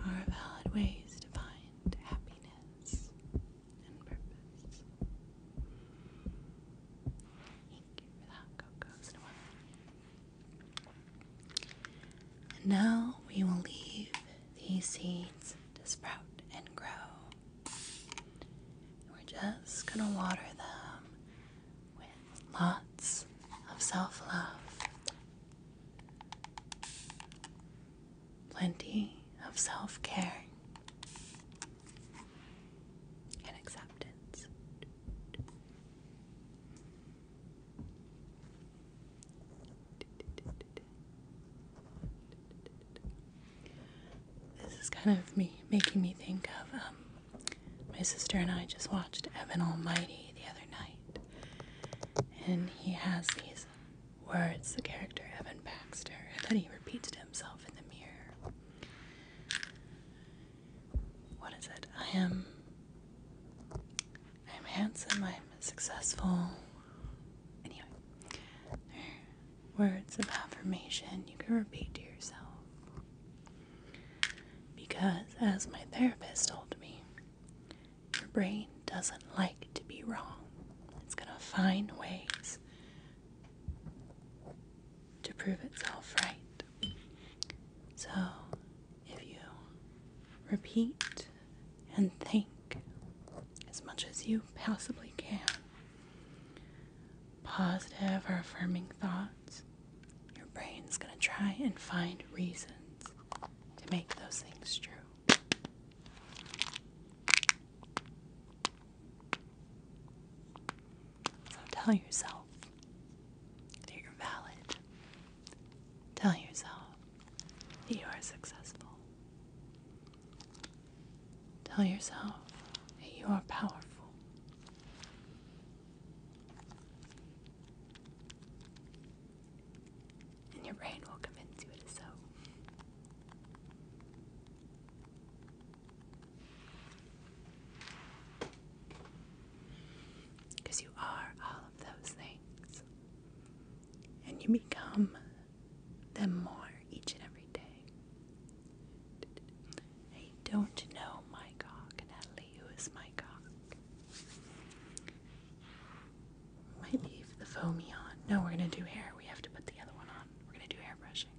are valid ways to find happiness and purpose. And now we will leave these seeds to sprout and grow. We're just going to water them with lots of self love. Plenty of self care and acceptance. This is kind of me making me think of um, my sister and I just watched Evan Almighty the other night, and he has these words. The character Evan Baxter that he repeats to himself in the mirror what is it? I am I am handsome, I am successful. Anyway, words of affirmation you can repeat to yourself. Because, as my therapist told me, your brain doesn't like to be wrong. It's going to find ways to prove itself right. So, if you repeat and think as much as you possibly can, positive or affirming thoughts, your brain's going to try and find reasons to make those things true. So tell yourself that you're valid. Tell yourself that you are successful. Tell yourself that you are powerful. And your brain will convince you it is so. Because you are all of those things. And you become them more each and every day. I don't know my cock, Natalie. Who is my cock? Might leave the foamy on. No, we're going to do hair. We have to put the other one on. We're going to do hair brushing.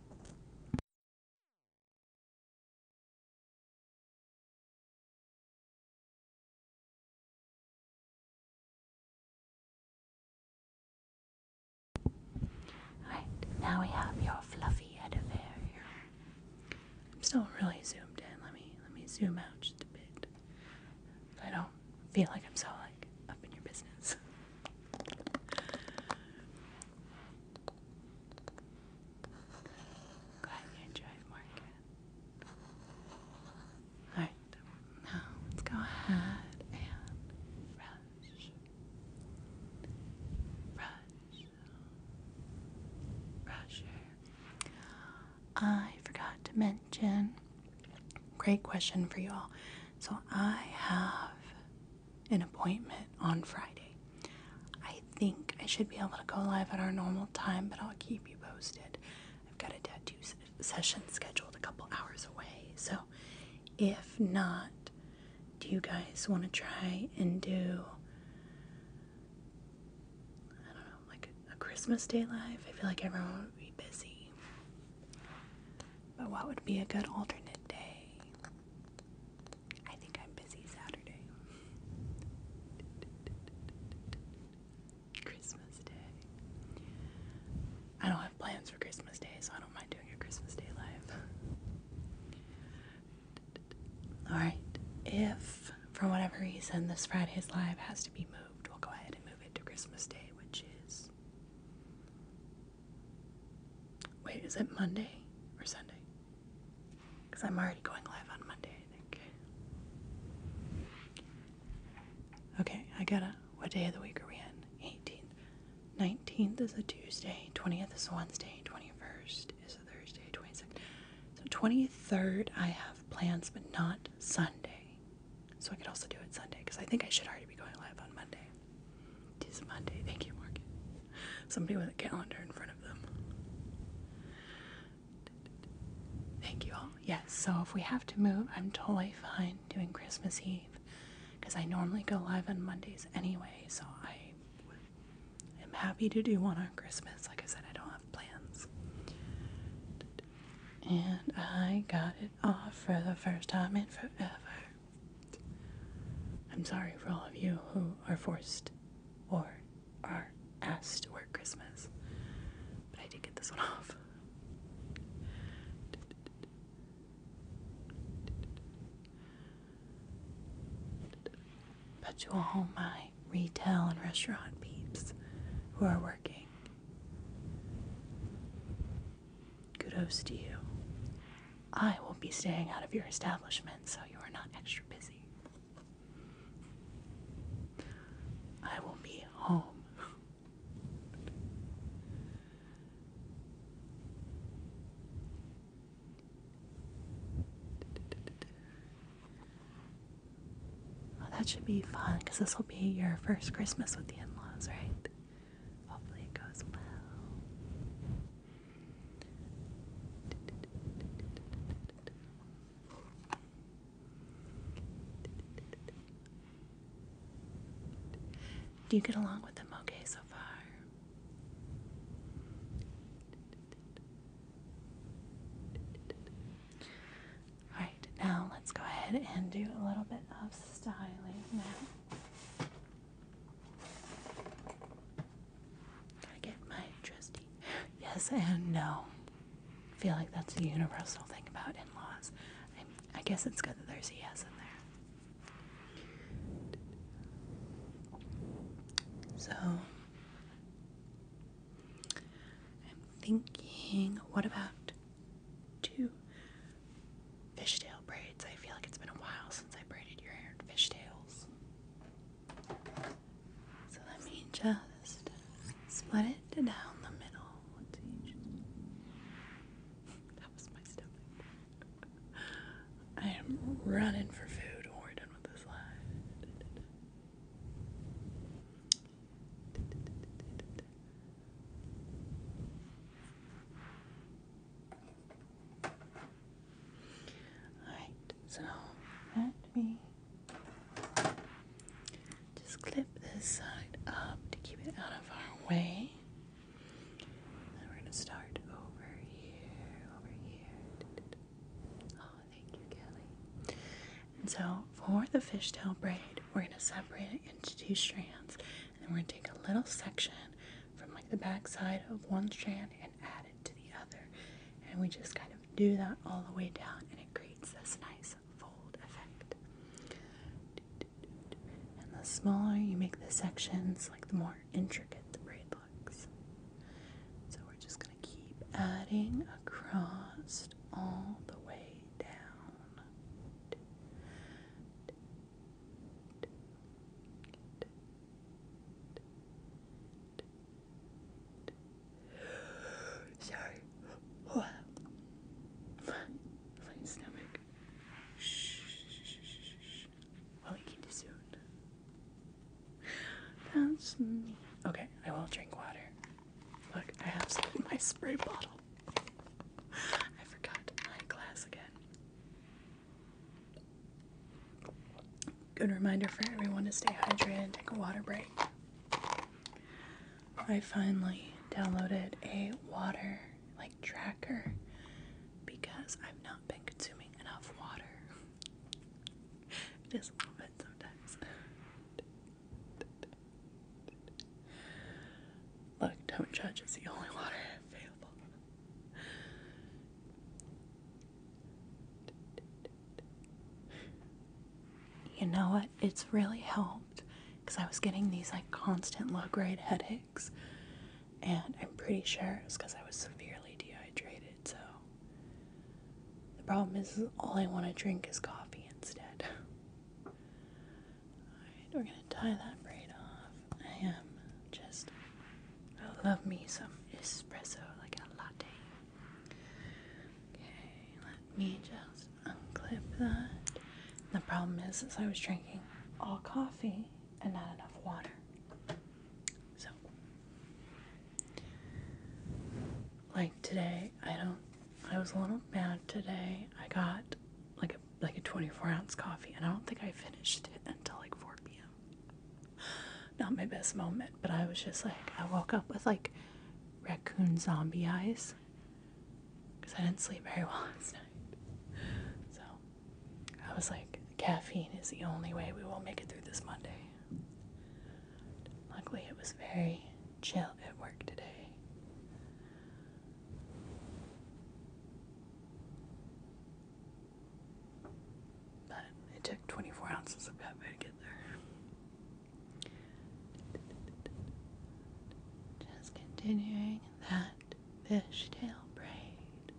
Alright, now we have your fluffy head of hair here. I'm still really zoomed in. Let me let me zoom out just a bit. I don't feel like I'm so like up in your business. Go ahead and drive, Morgan. Alright, now let's go ahead and brush. Brush. Brush I forgot to mention, great question for you all. So I have an appointment on Friday. I think I should be able to go live at our normal time, but I'll keep you posted. I've got a tattoo session scheduled a couple hours away, so if not, do you guys want to try and do I don't know, like a Christmas Day live? I feel like everyone would be busy. But what would be a good alternate day? I think I'm busy Saturday. Christmas Day. I don't have plans for Christmas Day, so I don't mind doing a Christmas Day live. Alright, if for whatever reason this Friday's live has to be moved, we'll go ahead and move it to Christmas Day, which is. Wait, is it Monday or Sunday? Because I'm already going live on Monday, I think. Okay, I gotta. What day of the week are we in? 18th. 19th is a Tuesday, 20th is a Wednesday, 21st is a Thursday, 22nd. So 23rd, I have plans, but not Sunday. So I could also do it Sunday because I think I should already be going live on Monday. It is Monday. Thank you, Mark. Somebody with a calendar in front of them. Thank you all. Yes, so if we have to move, I'm totally fine doing Christmas Eve because I normally go live on Mondays anyway, so I am happy to do one on Christmas. Like I said, I don't have plans. And I got it off for the first time in forever. I'm sorry for all of you who are forced or are asked to work Christmas. But I did get this one off. But to all my retail and restaurant peeps who are working, kudos to you. I will be staying out of your establishment so you are not extra busy. I will be home. that should be fun because this will be your first Christmas with the in laws, right? Hopefully, it goes well. Do you get along with them okay so far? Alright, now let's go ahead and do a little bit of styling now. Gotta get my trusty yes and no. feel like that's a universal thing about in-laws. I, I guess it's good that there's a yes in there. So I'm thinking, what about two fishtail braids? I feel like it's been a while since I braided your hair in fishtails. So let me just split it down the middle. That was my stomach. I am running for food we're done with this live. Alright, so let me just clip this side up to keep it out of our way. And we're going to start over here, over here. Oh, thank you, Kelly. And so for the fishtail braid, we're going to separate it into two strands. And we're going to take a little section from like the back side of one strand and add to the other. And we just kind of do that all the way down, and it creates this nice fold effect. And the smaller you make the sections, like the more intricate the braid looks. So we're just going to keep adding across all the way down. Sorry. Oh. My, stomach. Shh. I'll eat soon. That's me. Okay, I will drink water. Look, I have some in my spray bottle. I forgot my glass again. Good reminder for everyone to stay hydrated and take a water break. I finally downloaded a water like tracker because I've not been consuming enough water. Just a little bit sometimes. Look, don't judge, it's the only water available. You know what? It's really helped because I was getting these like constant low grade headaches, and I'm pretty sure it's because I was severely dehydrated. So the problem is, all I want to drink is coffee instead. all right, we're gonna tie that braid off. I am just, love me some espresso, like a latte. Okay, let me just unclip that. The problem is, is I was drinking all coffee and not enough water. So, like today, I don't. I was a little mad today. I got like like a 24 ounce coffee, and I don't think I finished it until like 4 p.m not my best moment, but I was just like, I woke up with like raccoon zombie eyes because I didn't sleep very well last night. So I was like, caffeine is the only way we will make it through this Monday. Luckily, it was very chill at work today. But it took 24 ounces of coffee to get there. Just continuing that fishtail braid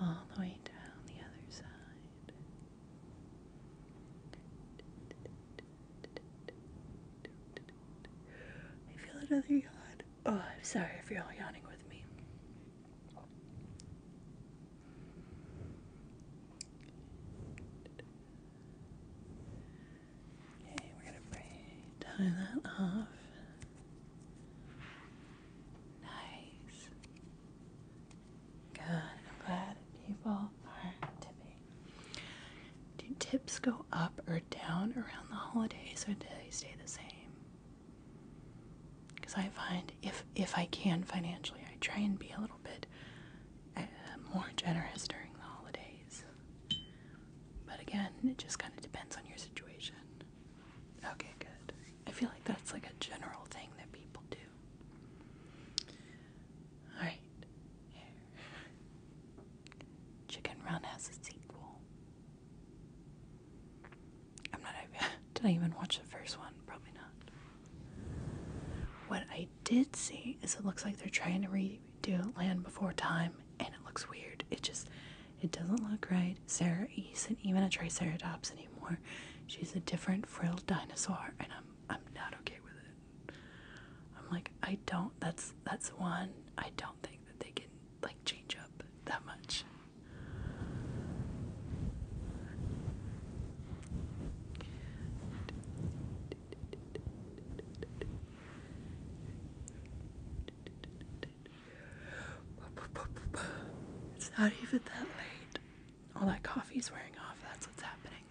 all the way down the other side. I feel another yawn. Oh, I'm sorry if you're all yawning with me. Okay, we're going to pray. Tie that off. Nice. Good. I'm glad people are tipping. Do tips go up or down around the holidays or do they stay the same? Because I find if if I can financially, I try and be a little bit um, more generous during the holidays. But again, it just kind of depends on your situation. Okay, good. I feel like that's like a general thing that people do. Alright, here. Chicken Run has a sequel. I'm not Did I even watch the first one? Probably not. What I did see is it looks like they're trying to redo Land Before Time, and it looks weird. It just, it doesn't look right. Sarah isn't even a Triceratops anymore. She's a different frilled dinosaur, and I'm I'm not okay with it. I'm like I don't. That's that's one. I don't think that they can like change up that much. It's not even that late. All that coffee's wearing off. That's what's happening.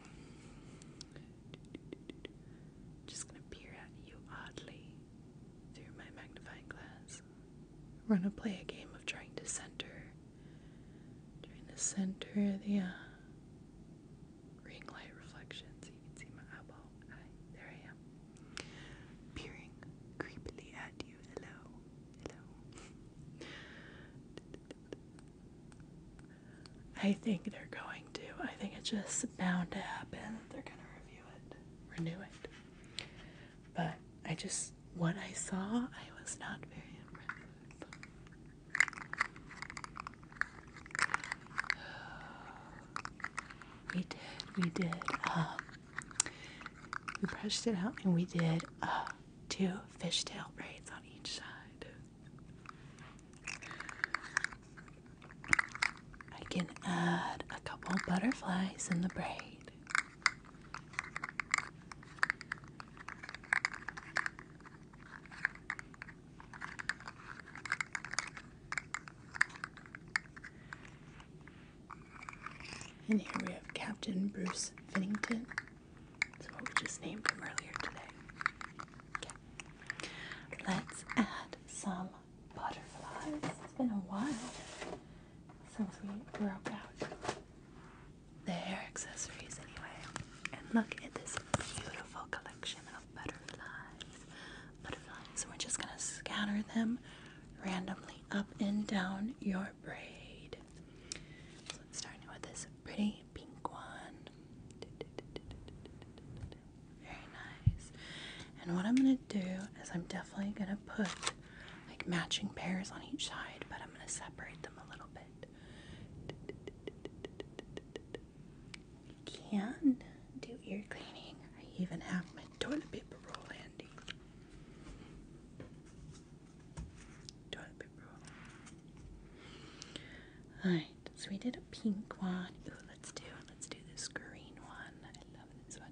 Just gonna peer at you oddly through my magnifying glass. We're gonna play a game of trying to center during the center the uh, ring light reflection, so you can see my eyeball. there I am, peering creepily at you. Hello, hello. I think they're going to. I think it's just bound to happen. They're going to review it, renew it. But I just, what I saw, I was not very impressed. We did, we did, uh, we brushed it out and we did uh, two fishtail braids on each side. I can add a couple butterflies in the braid. And here we have Captain Bruce Finnington. That's what we just named from earlier today. Let's add some butterflies. It's been a while since we broke out the hair accessories anyway. And look at this beautiful collection of butterflies. Butterflies. We're just gonna scatter them randomly up and down your braid. So I'm starting with this pretty pink one. Very nice. And what I'm gonna do is I'm definitely gonna put like matching pairs on each side, but I'm gonna separate them a little bit can do ear cleaning. I even have my toilet paper roll handy. Toilet paper roll. Alright, so we did a pink one. let's do let's do this green one. I love this one.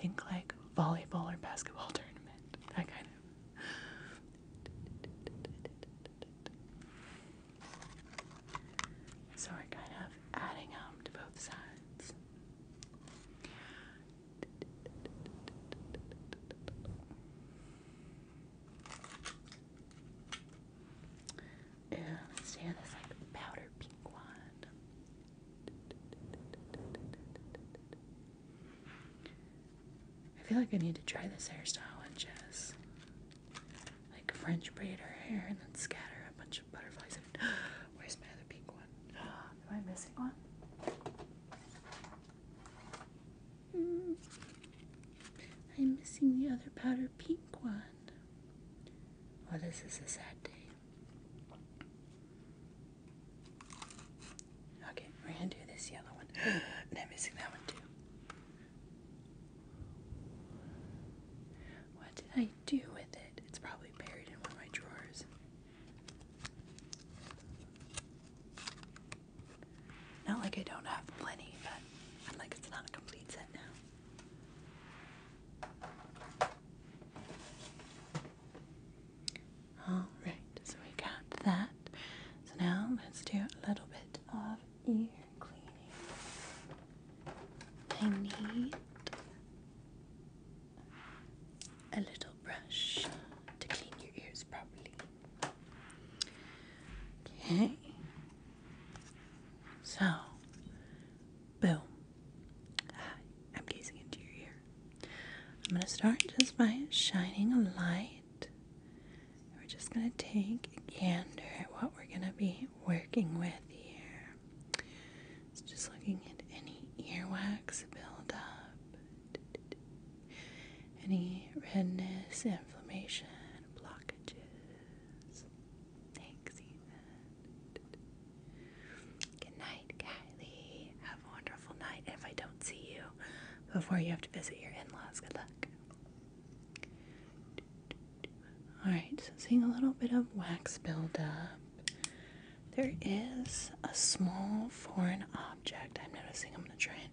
Think like volleyball or basketball tournament. That kind of. So we're kind of adding up to both sides. Yeah, let's do this like powder pink one. I feel like I need to try this hairstyle on Jess. Like French braid her hair and then scatter a bunch of butterflies. Where's my other pink one? Am I missing one? Hmm. I'm missing the other powder pink one. Oh, this is a sad day. Okay, we're gonna do this yellow one. I'm missing that one too. What did I do with it? It's probably buried in one of my drawers. Not like I don't have plenty, but I'm like, it's not a complete set now. Alright, so we got that. So now let's do a little bit of ear cleaning. I need a little brush to clean your ears properly. Okay. So, boom. I'm gazing into your ear. I'm going to start just by shining a light. We're just going to take a candor at what we're going to be working with here. just looking at any earwax buildup, any redness, inflammation, blockages. Thanks, Good night, Kylie. Have a wonderful night. If I don't see you before you have to visit your in laws, good luck. Alright, so seeing a little bit of wax buildup. There is a small foreign object I'm noticing. I'm going to try and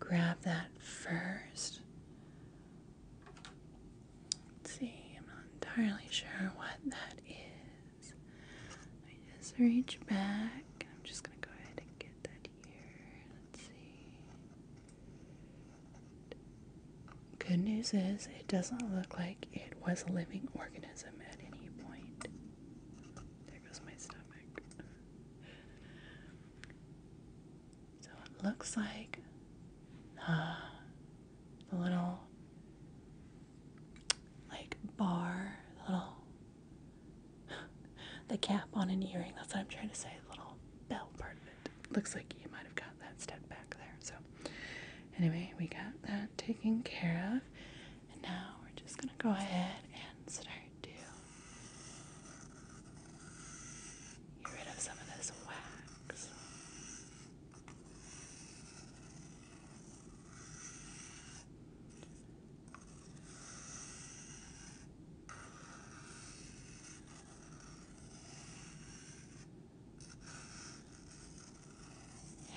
grab that first. Let's see, I'm not entirely sure what that is. I just reach back. I'm just gonna go ahead and get that here. Let's see. Good news is it doesn't look like it was a living organism at any point. There goes my stomach. So it looks like uh, the little like bar, little the cap on an earring. That's what I'm trying to say. Little bell part of it. Looks like you might have got that stuck back there. So anyway, we got that taken care of, and now we're just gonna go ahead and start to get rid of some of this wax.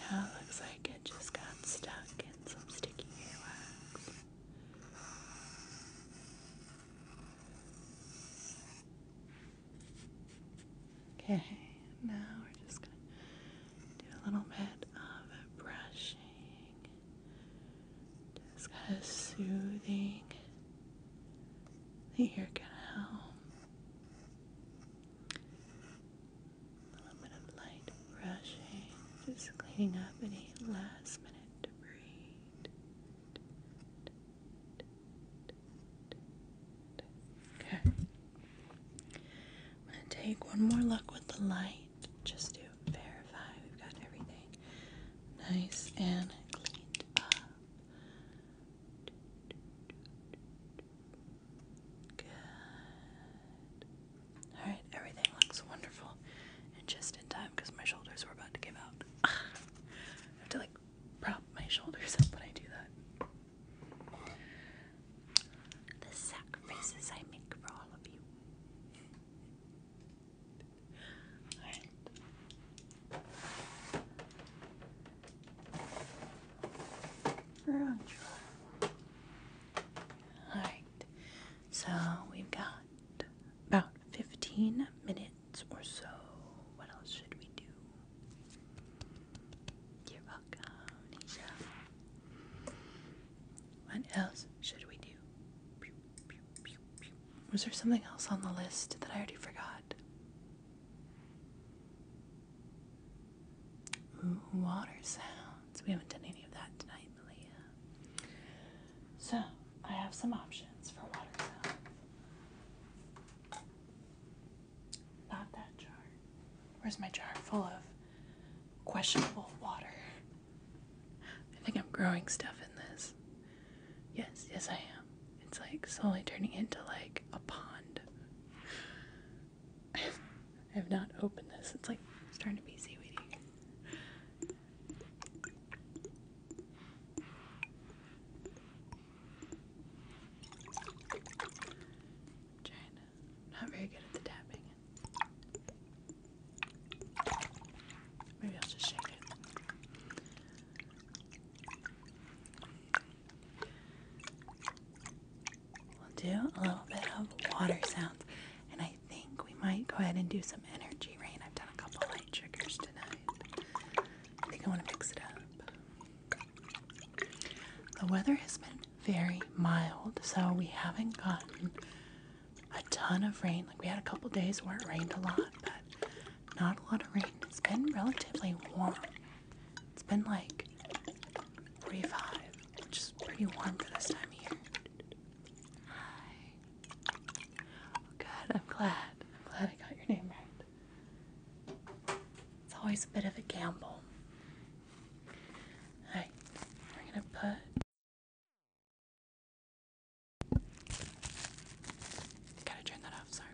Yeah, looks like it just got stuck in some sticky earwax. Okay, now we're just gonna do a little bit of brushing, just kind of soothing the hair canal. A little bit of light brushing, just cleaning up any last minute debris. Okay. I'm going to take one more look with the light just to verify we've got everything nice and cleaned up. Good. Alright, everything looks wonderful. And just in time because my shoulders were about to give out. I have to like prop my shoulders up when I do that the sacrifices I make for all of you. Alright. Alright, so we've got about 15 minutes or so. What else should we do? Give what else should we do? Was there something else on the list that I already forgot? water sounds. We haven't done any of that tonight, Malia. So, I have some options for water sounds. Not that jar. Where's my jar full of questionable water? I think I'm growing stuff in this. Yes, yes, I am. It's like slowly turning into like a pond. I have not opened this. It's like starting to be seaweedy. i not very good at the tapping. Maybe I'll just shake it. We'll do a little bit of water sounds, and I think we might go ahead and do some energy rain. I've done a couple light triggers tonight. I think I want to mix it up. The weather has been very mild, so we haven't gotten a ton of rain. Like we had a couple days where it rained a lot, but not a lot of rain. It's been relatively warm. It's been like 45, which is pretty warm for this time of year. Hi. good. I'm glad. I'm glad I got your name right. It's always a bit of a gamble Alright, we're gonna put. Gotta turn that off, sorry.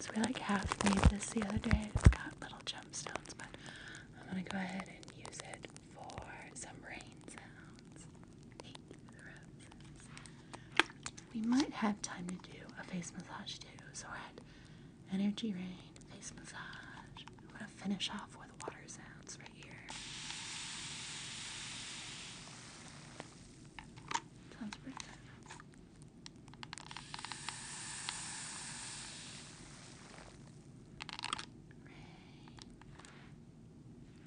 So we like half made this the other day. it got little gemstones, but I'm gonna go ahead and use it for some rain sounds we might have time to do a face massage too. So we're at Energy Rain face massage. I'm gonna finish off with water sounds right here. Sounds pretty Rain.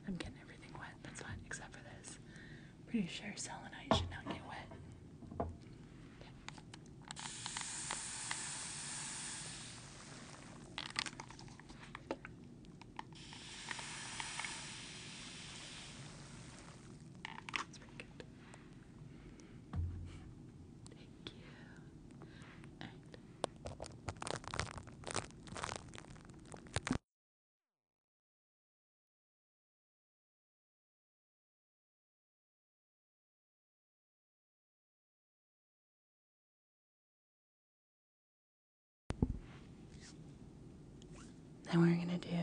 I'm getting everything wet. That's fine, except for this. Pretty sure selenite should not get wet. Thank you. Then we're going to do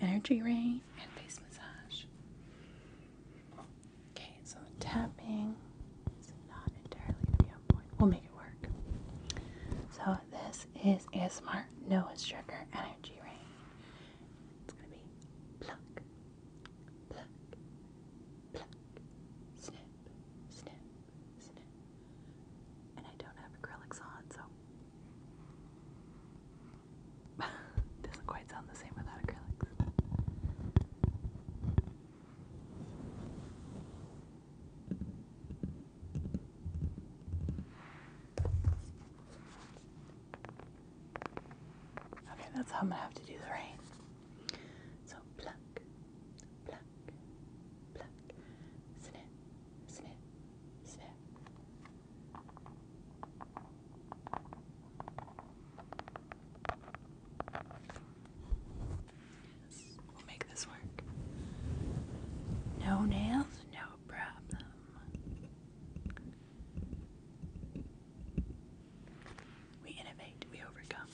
energy rain and face massage. Okay, so the tapping is not entirely to be on point. We'll make it work. So Oh, this is a smart nose trigger energy ring. It's gonna be pluck, pluck, pluck, snip, snip, snip. And I don't have acrylics on, so doesn't quite sound the same without acrylics. Okay, that's how I'm gonna have to do the rain. So pluck, pluck, pluck, snip, snip, snip. We'll make this work. No nails, no problem. We innovate, we overcome.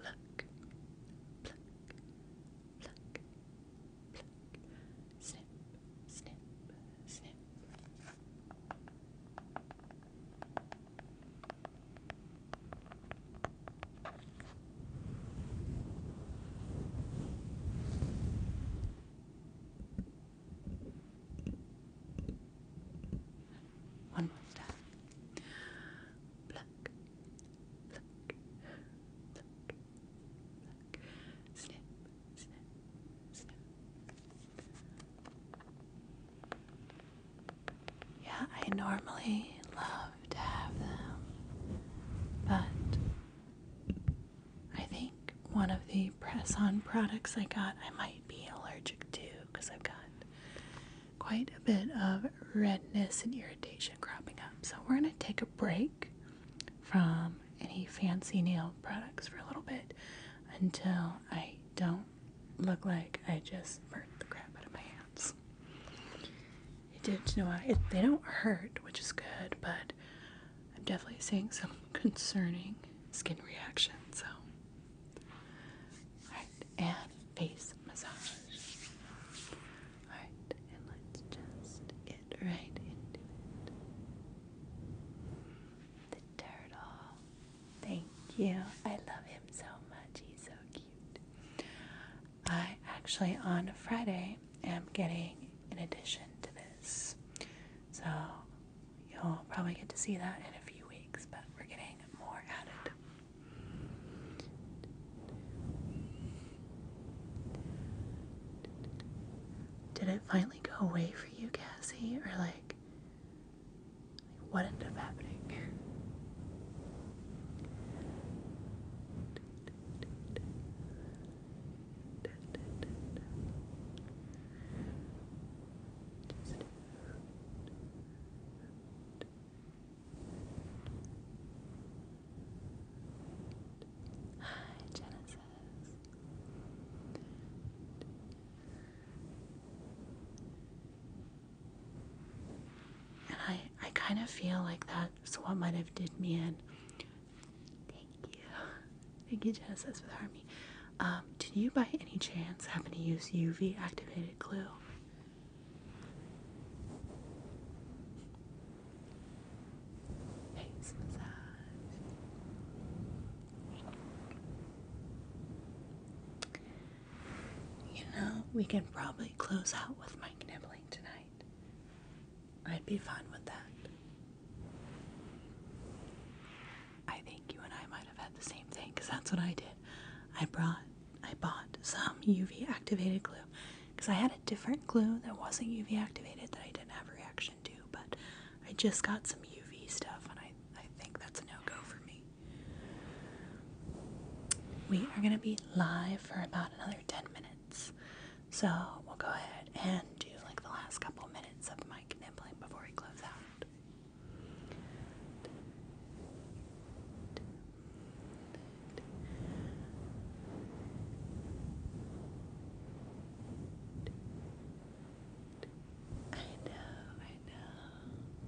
Pluck, pluck, pluck, Snip, snip, snip. One more time. Pluck, pluck, pluck, pluck. Snip, snip, snip. Yeah, I normally love but I think one of the press on products I got I might be allergic to because I've got quite a bit of redness and irritation cropping up. So we're going to take a break from any fancy nail products for a little bit until I don't look like I just burnt the crap out of my hands it did you know it, they don't hurt which is good but i'm definitely seeing some concerning skin reaction so all right and face massage all right and let's just get right into it the turtle thank you i love him so much he's so cute I actually on Friday am getting an addition to this. So you'll probably get to see that in a few weeks, but we're getting more added. Did it finally go away for you, Cassie? Or like, what ended up happening? Hi, Genesis. And I I kind of feel like that so what might have did me in? Thank you. Thank you, Genesis with Harmony. Um, did you by any chance happen to use UV activated glue? Face You know, we can probably close out with my nibbling tonight. I'd be fine with that. I think you and I might have had the same thing because that's what I did. I brought, I bought some UV activated glue because I had a different glue that wasn't UV activated that I didn't have a reaction to, but I just got some UV stuff and I, I think that's a no go for me. We are going to be live for about another 10 minutes. So we'll go ahead and do like the last couple minutes of Mike nibbling before we close out. I know, I know.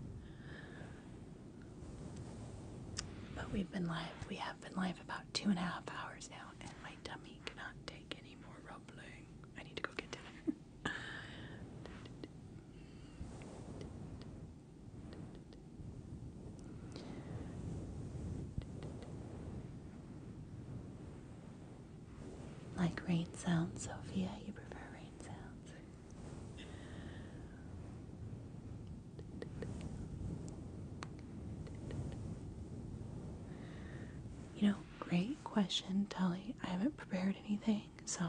But we've been live, we have been live about two and a half hours now, and my tummy cannot take any more rumbling. I need to go get dinner. Like rain sounds, Sophia? You prefer rain sounds? You know, great question, Tully. I haven't prepared anything, so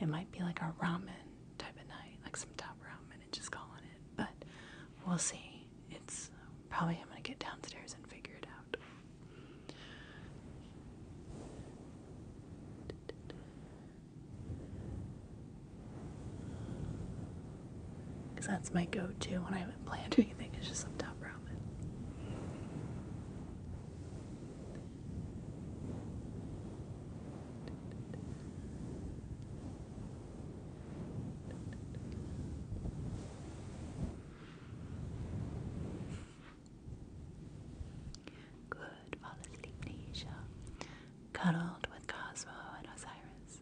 it might be like a ramen type of night, like some top ramen and just calling it. But we'll see. It's probably I'm gonna get downstairs and figure it out. Because that's my go to when I haven't planned anything, it's just some top ramen. Good fall asleep, Nisha. Cuddled with Cosmo and Osiris.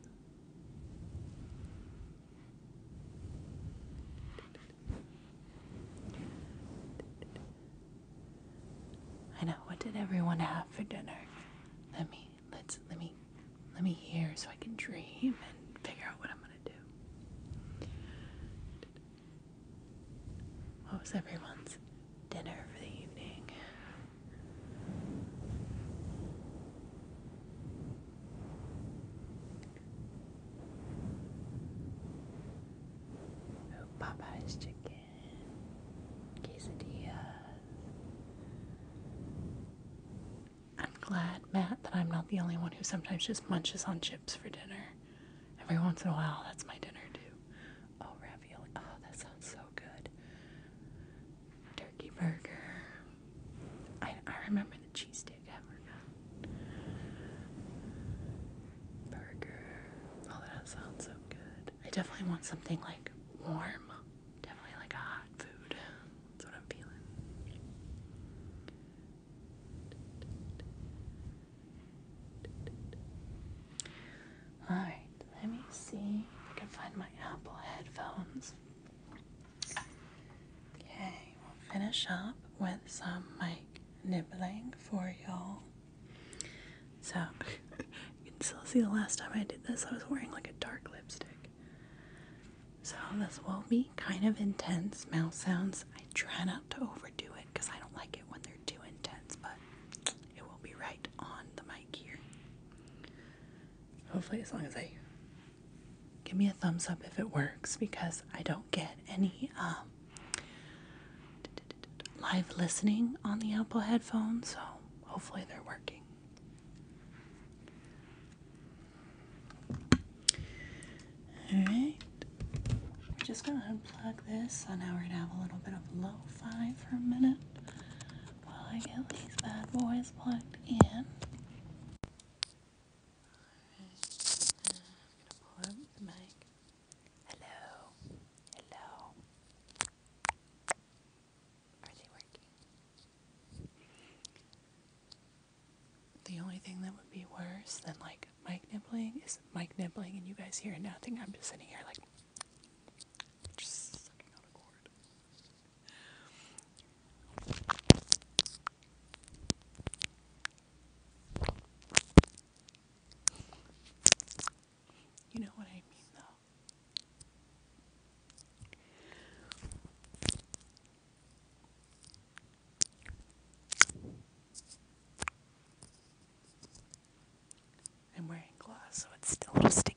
I know. What did everyone have for dinner? Let me let's let me let me hear so I can dream and figure out what I'm gonna do. What was everyone's dinner for the evening? Oh, Popeye's chicken, quesadillas. I'm glad, Matt, that I'm not the only one who sometimes just munches on chips for dinner. Every once in a while, that's my dinner too. Oh, ravioli. Oh, that sounds so good turkey burger. I, remember the cheesesteak hamburger. Burger. Oh, that sounds so good. I definitely want something like warm. Definitely like hot food. That's what I'm feeling. Alright, let me see I can find my Apple headphones. Okay, we'll finish up with some mic nibbling for y'all. So, you can still see the last time I did this, I was wearing like a dark lipstick. So, this will be kind of intense mouth sounds. I try not to overdo it because I don't like it when they're too intense, but it will be right on the mic here hopefully as long as I give me a thumbs up if it works because I don't get any um, live listening on the Apple headphones, so hopefully they're working. Alright, we're just gonna unplug this, so now we're gonna have a little bit of lo fi for a minute while I get these bad boys plugged in. the Hello, hello. Are they working? The only thing that would be worse than like mic nibbling is Mike nibbling, and you guys hear nothing. I'm just sitting here like just sucking on a cord. You know what I mean, though. I'm wearing gloves, so it's still a little sticky.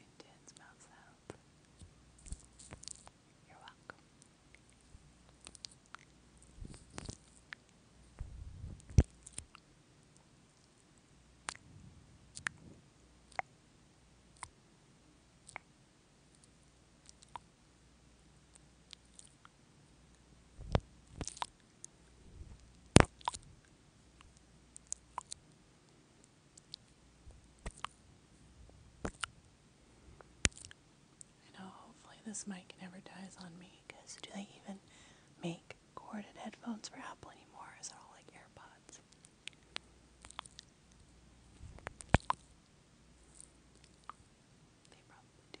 intense You're welcome. I know, hopefully, this mic never dies on me because do they even make corded headphones for Apple anymore? Is it all like AirPods? They probably do.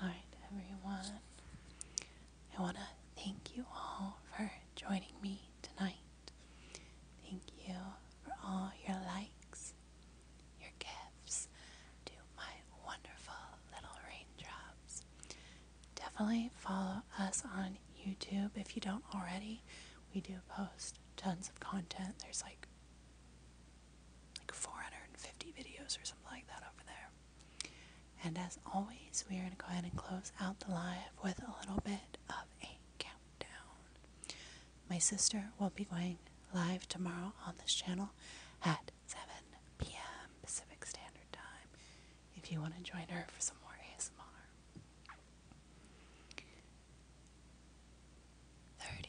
All right, everyone. I want to thank you all for joining me tonight. Thank you for all your likes your gifts to my wonderful little raindrops. Definitely follow us on YouTube if you don't already. We do post tons of content. There's like like 450 videos or something like that over there. And as always, we are going to go ahead and close out the live with a little bit of a countdown. My sister will be going live tomorrow on this channel at 7 p.m. Pacific Standard Time if you want to join her for some more ASMR. 30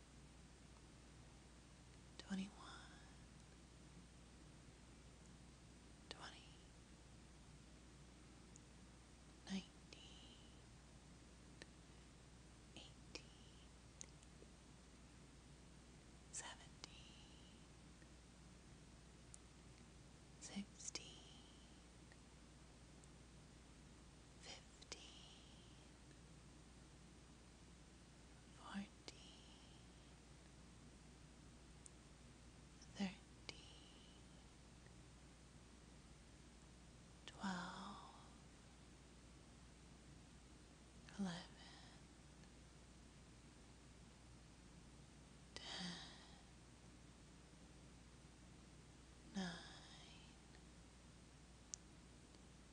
twenty one, twenty, nineteen, eighteen, seventeen, sixteen, fifteen fourteen, thirteen, twelve, eleven, ten, nine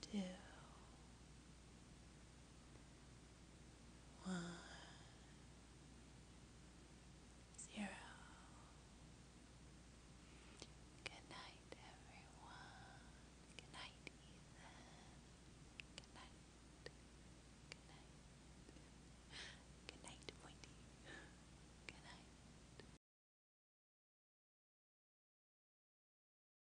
two, one, zero. Good night, everyone. Good night, Ethan. Good night. Good night. Good night, Pointy. Good night.